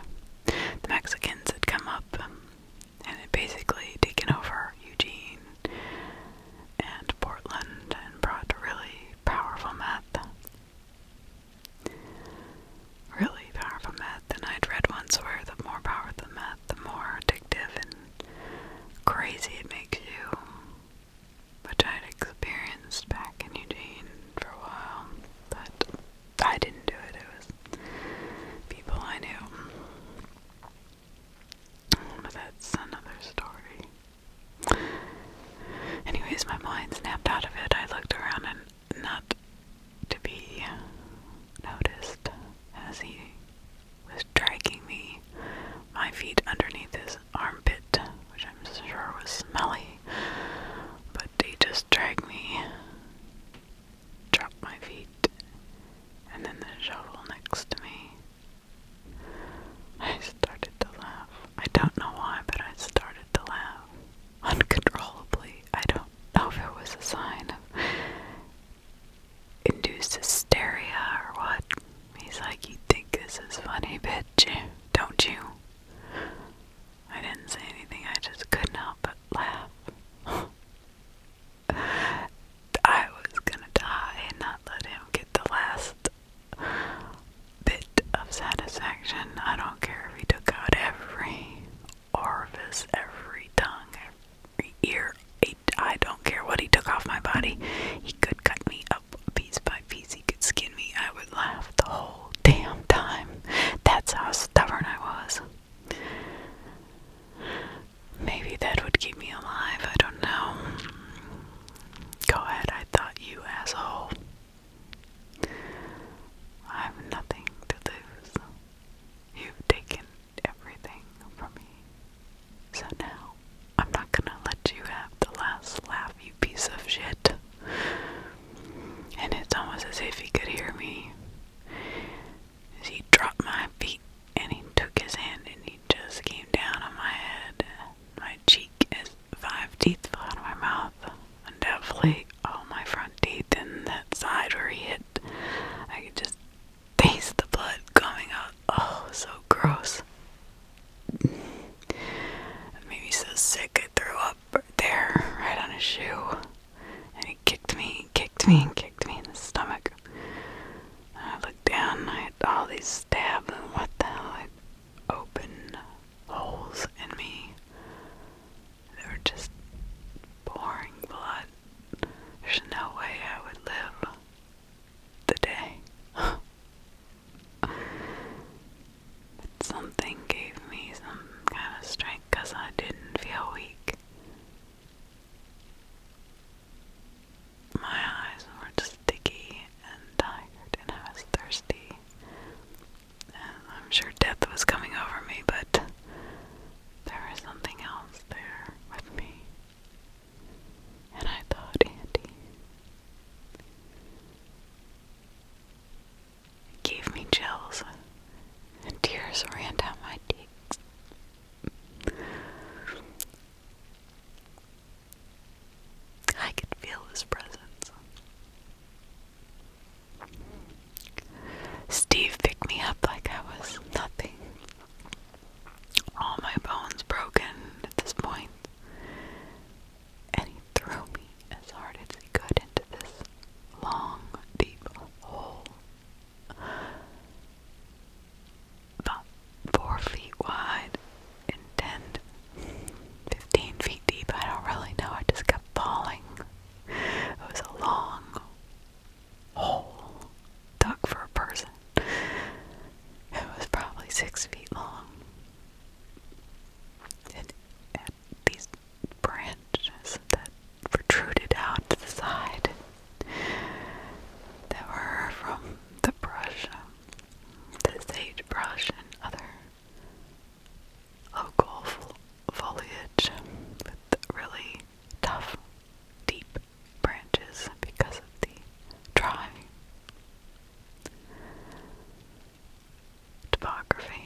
The Mexicans had come up and had basically taken over Eugene and Portland and brought really powerful meth. Really powerful meth. And I'd read once where the more powerful the meth, the more addictive and crazy it makes you, which I'd experienced back in Eugene for a while. But I didn't do it, it was people I knew. But that's another story. Anyways, my mind snapped out of it. I looked around and not to be noticed as he was dragging me, my feet underneath his armpit, which I'm sure was smelly, but he just dragged me drop my feet, and then the shovel next to me. I started to laugh. I don't know why, but I started to laugh uncontrollably. I don't know if it was a sign of induced hysteria or what. He's like, You think this is funny, bitch? Don't you? I didn't say anything, I just couldn't help but laugh. I was gonna die and not let him get the last bit of satisfaction. I don't care if he took out every orifice, every tongue, every ear. I don't care what he took off my body. He could cut me up piece by piece, he could skin me. I would laugh the whole damn time. That's how stubborn I was. Maybe that would keep me alive, I don't know. Go ahead, I thought you asshole. I have nothing to lose. You've taken everything from me. So now, I'm not gonna let you have the last laugh, you piece of shit. And it's almost as if he could hear me. He dropped my feet and he took his hand and he just came down on my head. My cheek is five teeth fell out of my mouth, and definitely all my front teeth and that side where he hit. I could just taste the blood coming out. Oh, so gross. made me so sick I threw up right there, right on his shoe and he kicked me, kicked me, and kicked me in the stomach. I looked down, I had all these stab, and what the hell, like open holes in me. They were just pouring blood. There's no way I would live the day. but something gave me some kind of strength because I didn't feel weak. My eyes were sticky and tired, and I was thirsty. And I'm sure death was coming over me, but there was something else there with me. And I thought, Andy, gave me chills, and tears ran down my cheeks. I could feel his presence. Steve picked me up like I was nothing. All my bones broken at this point, and he threw me as hard as really good into this long, deep hole. four feet wide and 10, feet deep. I don't really know. I just kept falling. It was a long hole dug for a person. It was probably six feet long these branches that protruded out to the side that were from the brush, the sagebrush, and other local foliage with really tough, deep branches because of the drying. Topography.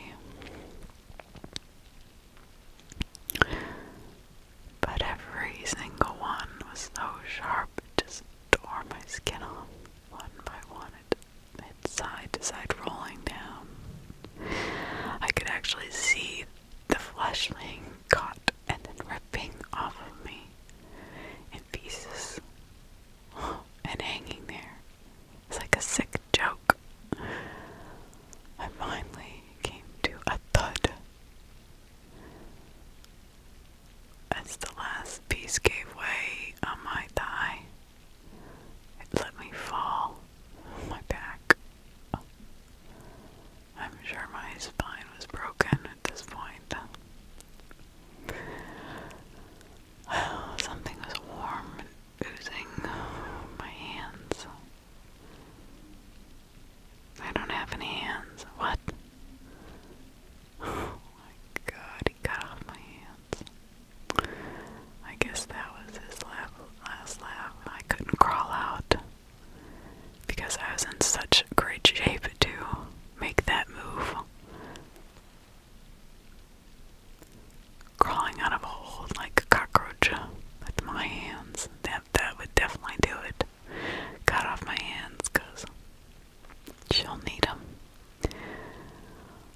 But every single one was so sharp it just tore my skin off one by one. It, it side to side rolling down. I could actually see the flesh being caught and then ripping off of me in pieces and hanging there. It's like a sick joke. I finally came to a thud. As the last piece gave way on my thigh, let me fall my back. I'm sure my spine was broken at this point. Something was warm and oozing my hands. I don't have any hands. What? Oh my god, he cut off my hands. I guess that was his laugh, last laugh. I couldn't crawl out because I was in such great shape to make that move crawling out of a hole like a cockroach uh, with my hands. That that would definitely do it. Cut off my hands, she she'll need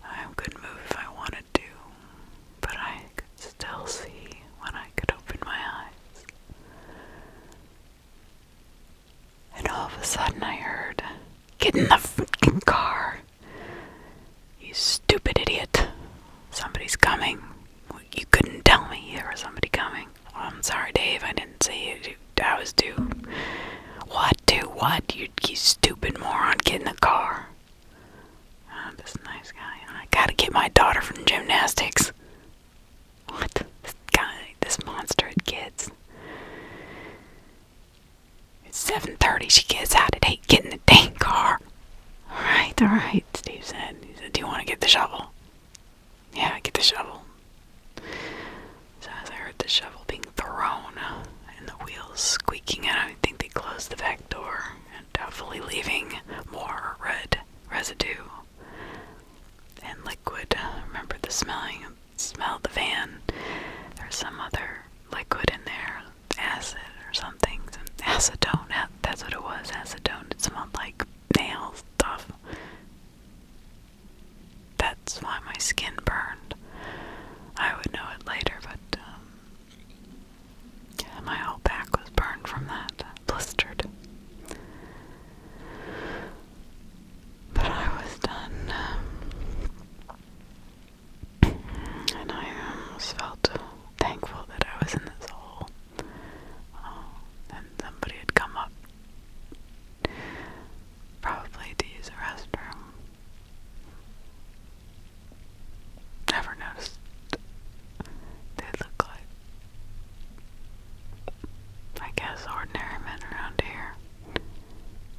I could move if I want to, do, but I could still see when I could open my eyes. And all of a sudden, I heard, "Get in the freaking car!" You stupid idiot. Somebody's coming. You couldn't tell me there was somebody coming. Oh, I'm sorry, Dave. I didn't see you. I was too. What? Do what? You, you stupid moron. Get in the car. Oh, this nice guy. I gotta get my daughter from gymnastics. What? This guy, this monster at kids. It's 7.30. She gets out at 8. Get in the dang car. All right, all right, Steve said. He said, Do you want to get the shovel? Yeah, get the shovel. So as I heard the shovel being thrown and the wheels squeaking, and I think they closed the back door and doubtfully leaving more red residue and liquid. remember the smelling, smell the van. There's some other liquid in there acid or something, acetone. That's what it was, acetone. It smelled like nail stuff. That's why my skin burned. I would know it later, but um, my whole back was burned from that, blistered. But I was done. Um, and I almost um, felt thankful that I was in this hole um, and somebody had come up, probably to use a restroom. Never noticed they look like, I guess, ordinary men around here.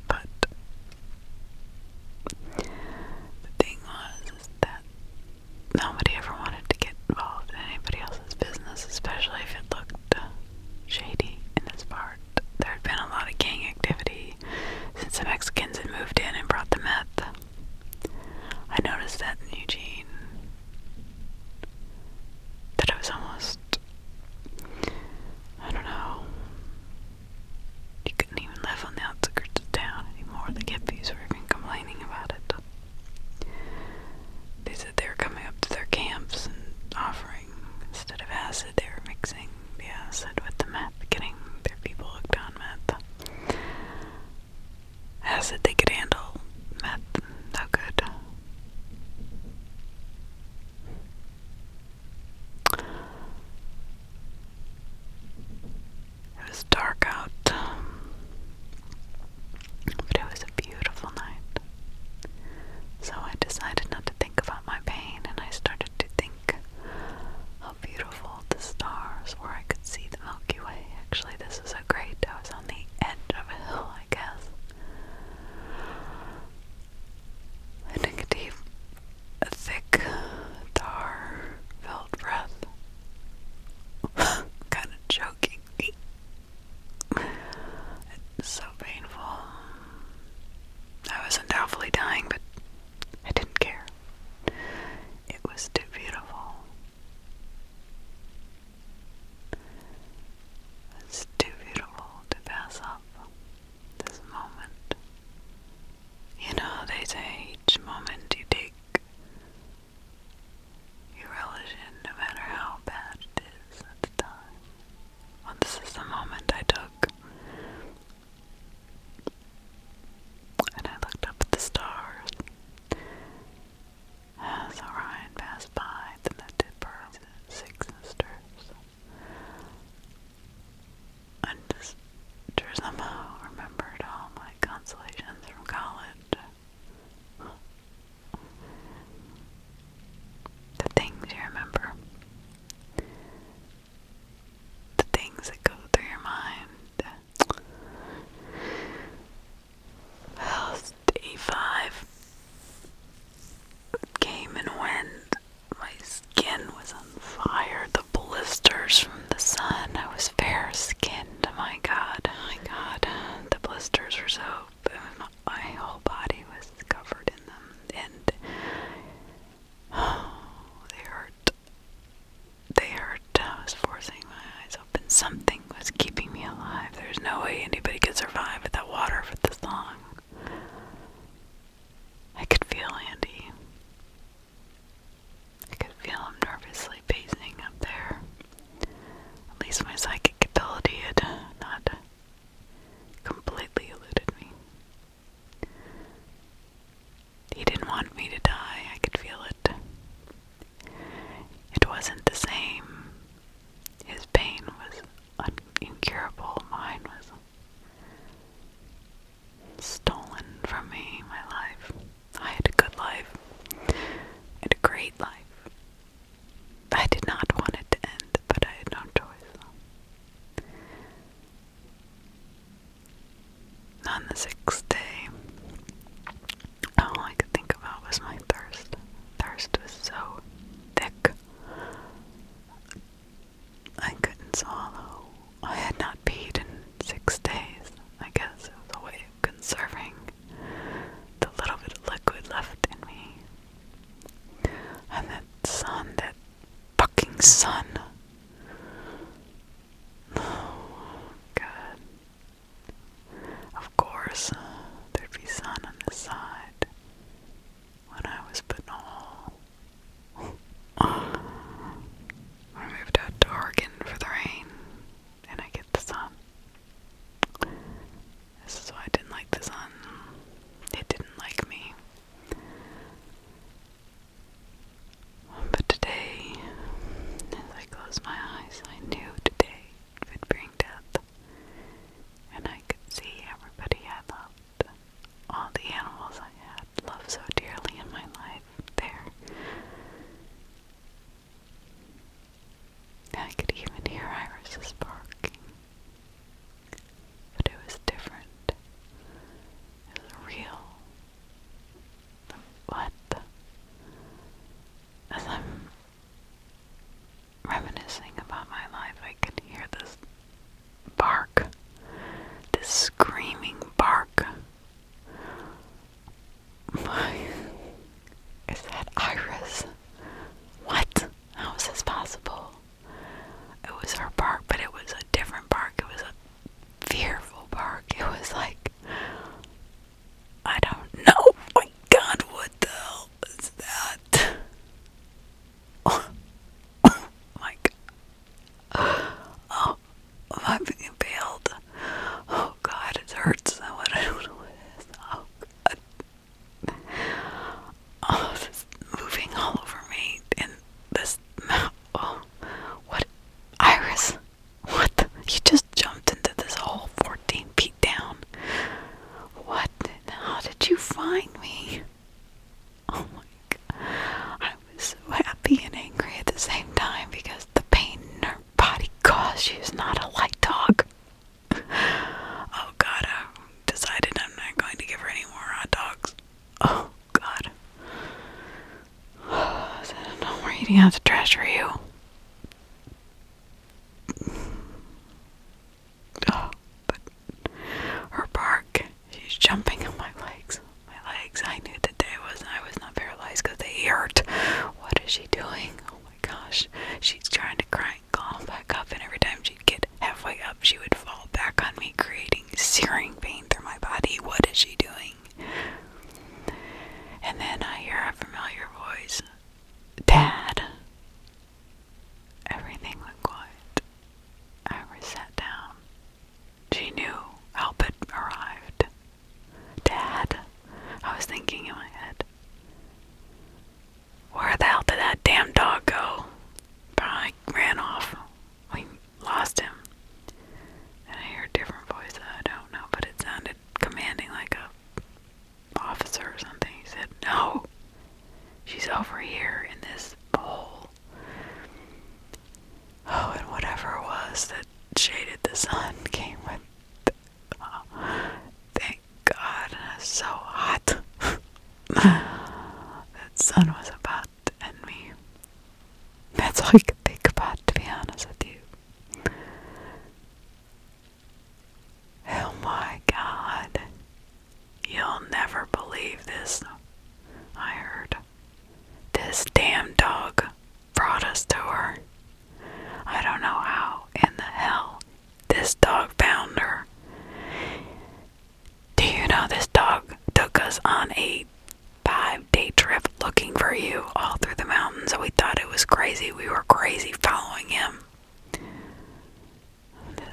But the thing was that nobody ever wanted to get involved in anybody else's business, especially if it looked shady in its part. There had been a lot of gang activity since the Mexicans had moved in and brought the meth. I noticed that in Eugene. That it was almost. I don't know. They couldn't even live on the outskirts of town anymore. The Gippies were even complaining about it. They said they were coming up to their camps and offering, instead of acid, they were mixing the acid with the meth, getting their people hooked on meth. Acid they could handle, meth, no good. It was dark out, but it was a beautiful night. So I decided not to think about my pain and I started to think how beautiful the stars were. I could see the Milky Way. Actually, this is a great, I on the edge of a hill, I guess. And a thick, tar filled breath kind of choking It's so painful. I wasn't awfully dying, but I didn't care. It was too beautiful. It's too beautiful to pass up this moment. You know, they say each moment you take you relish no matter how bad it is at the time. Well, this is the moment I took. And I looked up at the stars. As Orion passed by, then that six sisters. I just somehow oh, remembered all my consolations from college. The things you remember. The things that go through your mind. day five came and went. My skin was on fire. The blisters from the sun. I was fair skinned. My God, my God, the blisters were so. My whole body was covered in them, and oh, they hurt. They hurt. I was forcing my eyes open. Something was keeping me alive. There's no way anybody could survive without water for this long. I could feel Andy. I could feel him nervously pacing up there. At least my psychic ability had not completely eluded me. He didn't want me to die, I could feel it. It wasn't the same. His pain was incurable, mine was stolen from me, my life. I had a good life. I had a great life. I did not want it to end, but I had no choice. On the sixth day, all I could think about was my thirst. Thirst was so thick. I couldn't swallow. I had not peed in six days. I guess it was a way of conserving the little bit of liquid left in me. And that sun, that fucking sun. Oh, God. Of course, uh, there'd be sun on the side when I was putting I moved out to Oregon for the rain, and I get the sun. This is why I didn't like the sun. It didn't like me. But today, as I closed my eyes, I knew today would bring death. And I could see everybody I loved, all the animals I had, love so dearly in my life there. I could even hear irises barking. But it was different. It was real. What? As I'm reminiscing about my life, I can hear this bark. This screaming bark. Is that Iris? What? How is this possible? It was our park, but it was a different park. It was a fearful park. It was like, I don't know. Oh my god, what the hell is that? oh my god. Oh, I'm being impaled. Oh God, it hurts so I don't know what it is. Oh God. Oh, moving all over me. And this mouth. Oh, what? Iris, what? you just jumped into this hole 14 feet down. What? How did you find me? Oh my God was so happy and angry at the same time because the pain in her body caused she was not a light dog. oh god, I decided I'm not going to give her any more hot dogs. Oh god. I said, no more eating out the trash for you. Oh, but her bark, she's jumping on my legs my legs. I knew that they was I was not paralyzed because they hurt. What is she doing? Oh my gosh. She's trying to cry back up and every time she'd get halfway up she would fall back on me, creating searing pain through my body. What is she doing? And then I hear a familiar voice. Dad Everything went quiet. I sat down she knew Albert arrived. Dad, I was thinking in my head. Where the hell did that damn dog go? Probably ran off. We lost him. And I heard a different voice I don't know, but it sounded commanding like a officer or something. He said, No. She's over here in this hole. Oh, and whatever it was that shaded the sun came with. Oh, thank God, it so hot. that sun was about to end me. That's all I could think about, to be honest with you. Oh my God. You'll never believe this, I heard. This damn dog brought us to her. I don't know how in the hell this dog found her. Do you know this dog took us on a five day trip looking for you all through the mountains? We thought it was crazy. We were crazy following him.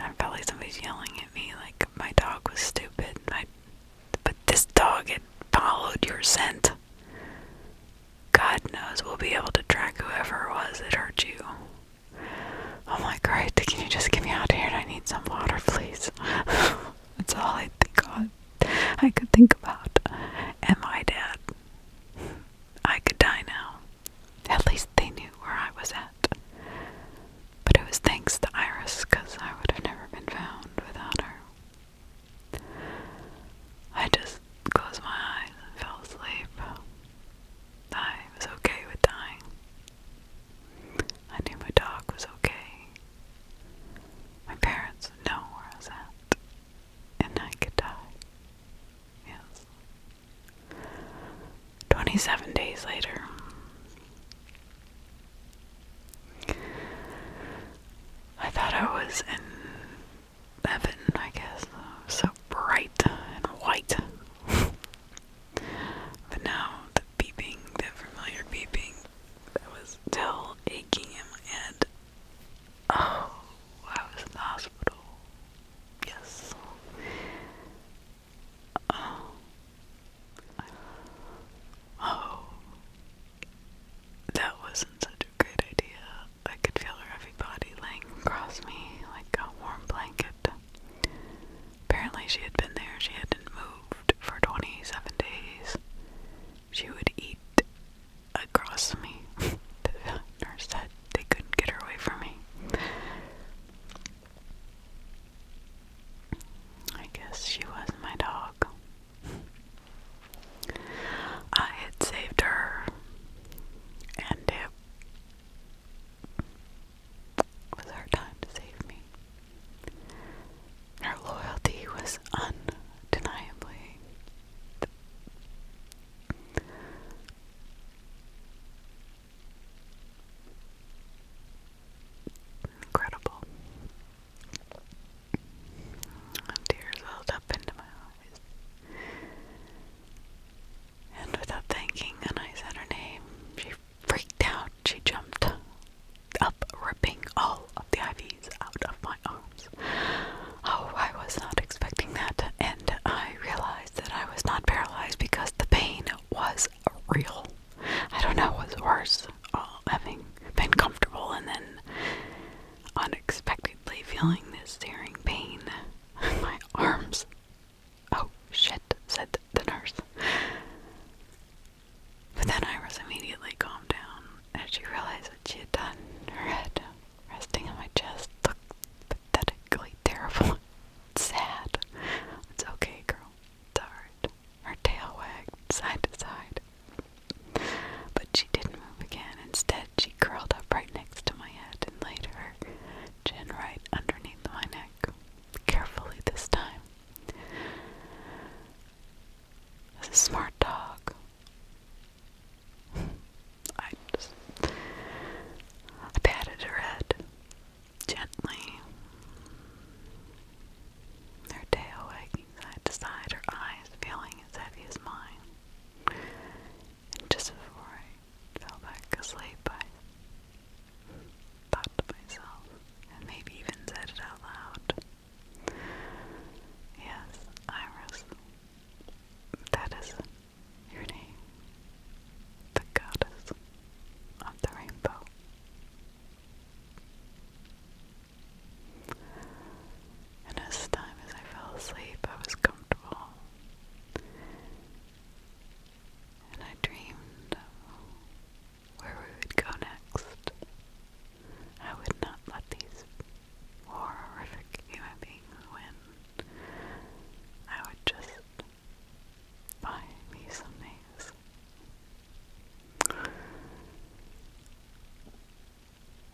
I felt like somebody's yelling at me, like my dog was stupid. My but this dog had followed your scent. God knows we'll be able to track whoever it was that hurt you. Oh my God! can you just get me out of here? I need some water, please. That's all I think I could think about. And my dad. I could die now. At least they knew where I was at. But it was thanks to Iris, because I would have never been found without her. I just closed my eyes and fell asleep. I was okay with dying. I knew my dog was okay. My parents know where I was at, and I could die. Yes. 27 days later, I thought I was in heaven, I guess. So bright and white. but now the beeping, the familiar beeping was still aching in my head. Oh, I was in the hospital. Yes. Oh. Oh that wasn't such a great idea. I could feel her heavy body laying across me like a warm blanket. Apparently, she had been there, she hadn't moved for 27 days. She would eat across me. the nurse said they couldn't get her away from me. I guess she was my dog. I had saved her, and it was her time to save me. Her loyalty was undeniably. Incredible. Tears welled up into my eyes. And without thinking, I said her name, she freaked out. She jumped up, ripping all of the IVs out of my arms. Oh, I was not expecting that, and I realized that I was not paralyzed because the pain was real. I don't know what's worse all having been comfortable and then unexpectedly feeling this tearing pain in my arms. Oh shit, said the nurse. But then I was immediately calmed down as she realized what she had done. Her head resting on my chest looked pathetically terrible. Sad. It's okay, girl. It's alright. Her tail wagged side to side. But she didn't move again. Instead, she curled up right next to my head and laid her chin right underneath my neck. Carefully this time. As a smart dog. I I patted her head gently. Her tail wagged side to side, her eyes feeling as heavy as mine. And just before I fell back asleep, I thought to myself, and maybe even said it out loud. Yes, Iris, that is your name, the goddess of the rainbow. And as time as I fell asleep, I was comfortable. And I dreamed where we would go next. I would not let these horrific human beings win. I would just buy me some nails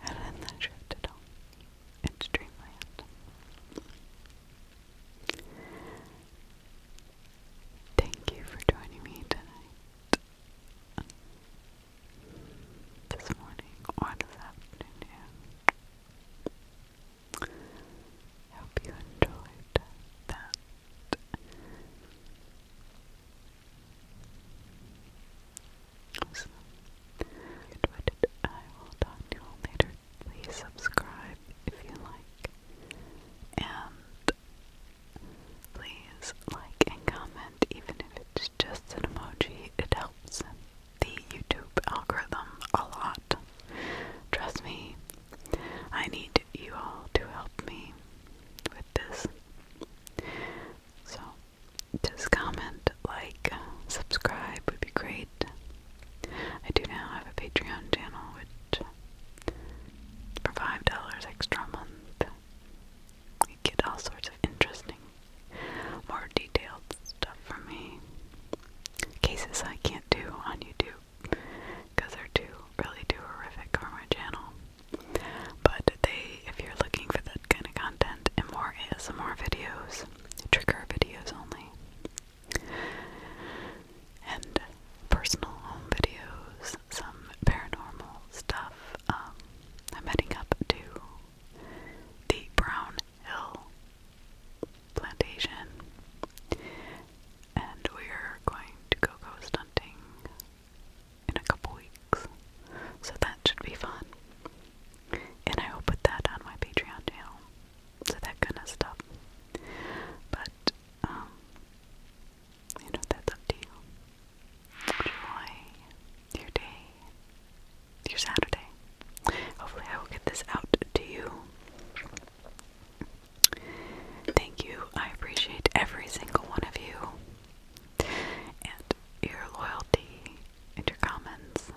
and then drifted on into dreamland. Thank you for joining me tonight, this morning, or this afternoon. hope you enjoyed that. So, it, I will you all later. Please subscribe if you like. And please like and comment, even if it's just an emoji. It helps the YouTube algorithm a lot. Trust me, I need you all to help me with this. So, just comment, like, subscribe would be great. I do now have a Patreon channel, which for five dollars extra month, you get all sorts of interesting, more detailed stuff from me. Cases I can't do on YouTube because they're too, really too horrific for my channel. But they, if you're looking for that kind of content and more ASMR videos, trigger videos only, and personal home videos, some paranormal stuff, um, I'm heading up to the Brown Hill plantation and we're going to go ghost hunting in a couple weeks. So that should be fun. And I will put that on my Patreon channel. So that kind of stuff. But, um, you know, that's up to you. Enjoy your day, your Saturday. Hopefully, I will get this out to you. Thank you. I appreciate every single one of you and your loyalty and your comments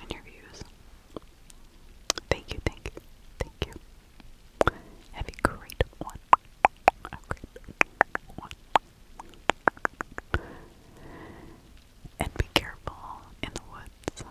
and your views. Thank you, thank thank you. Have a great one. A And be careful in the woods.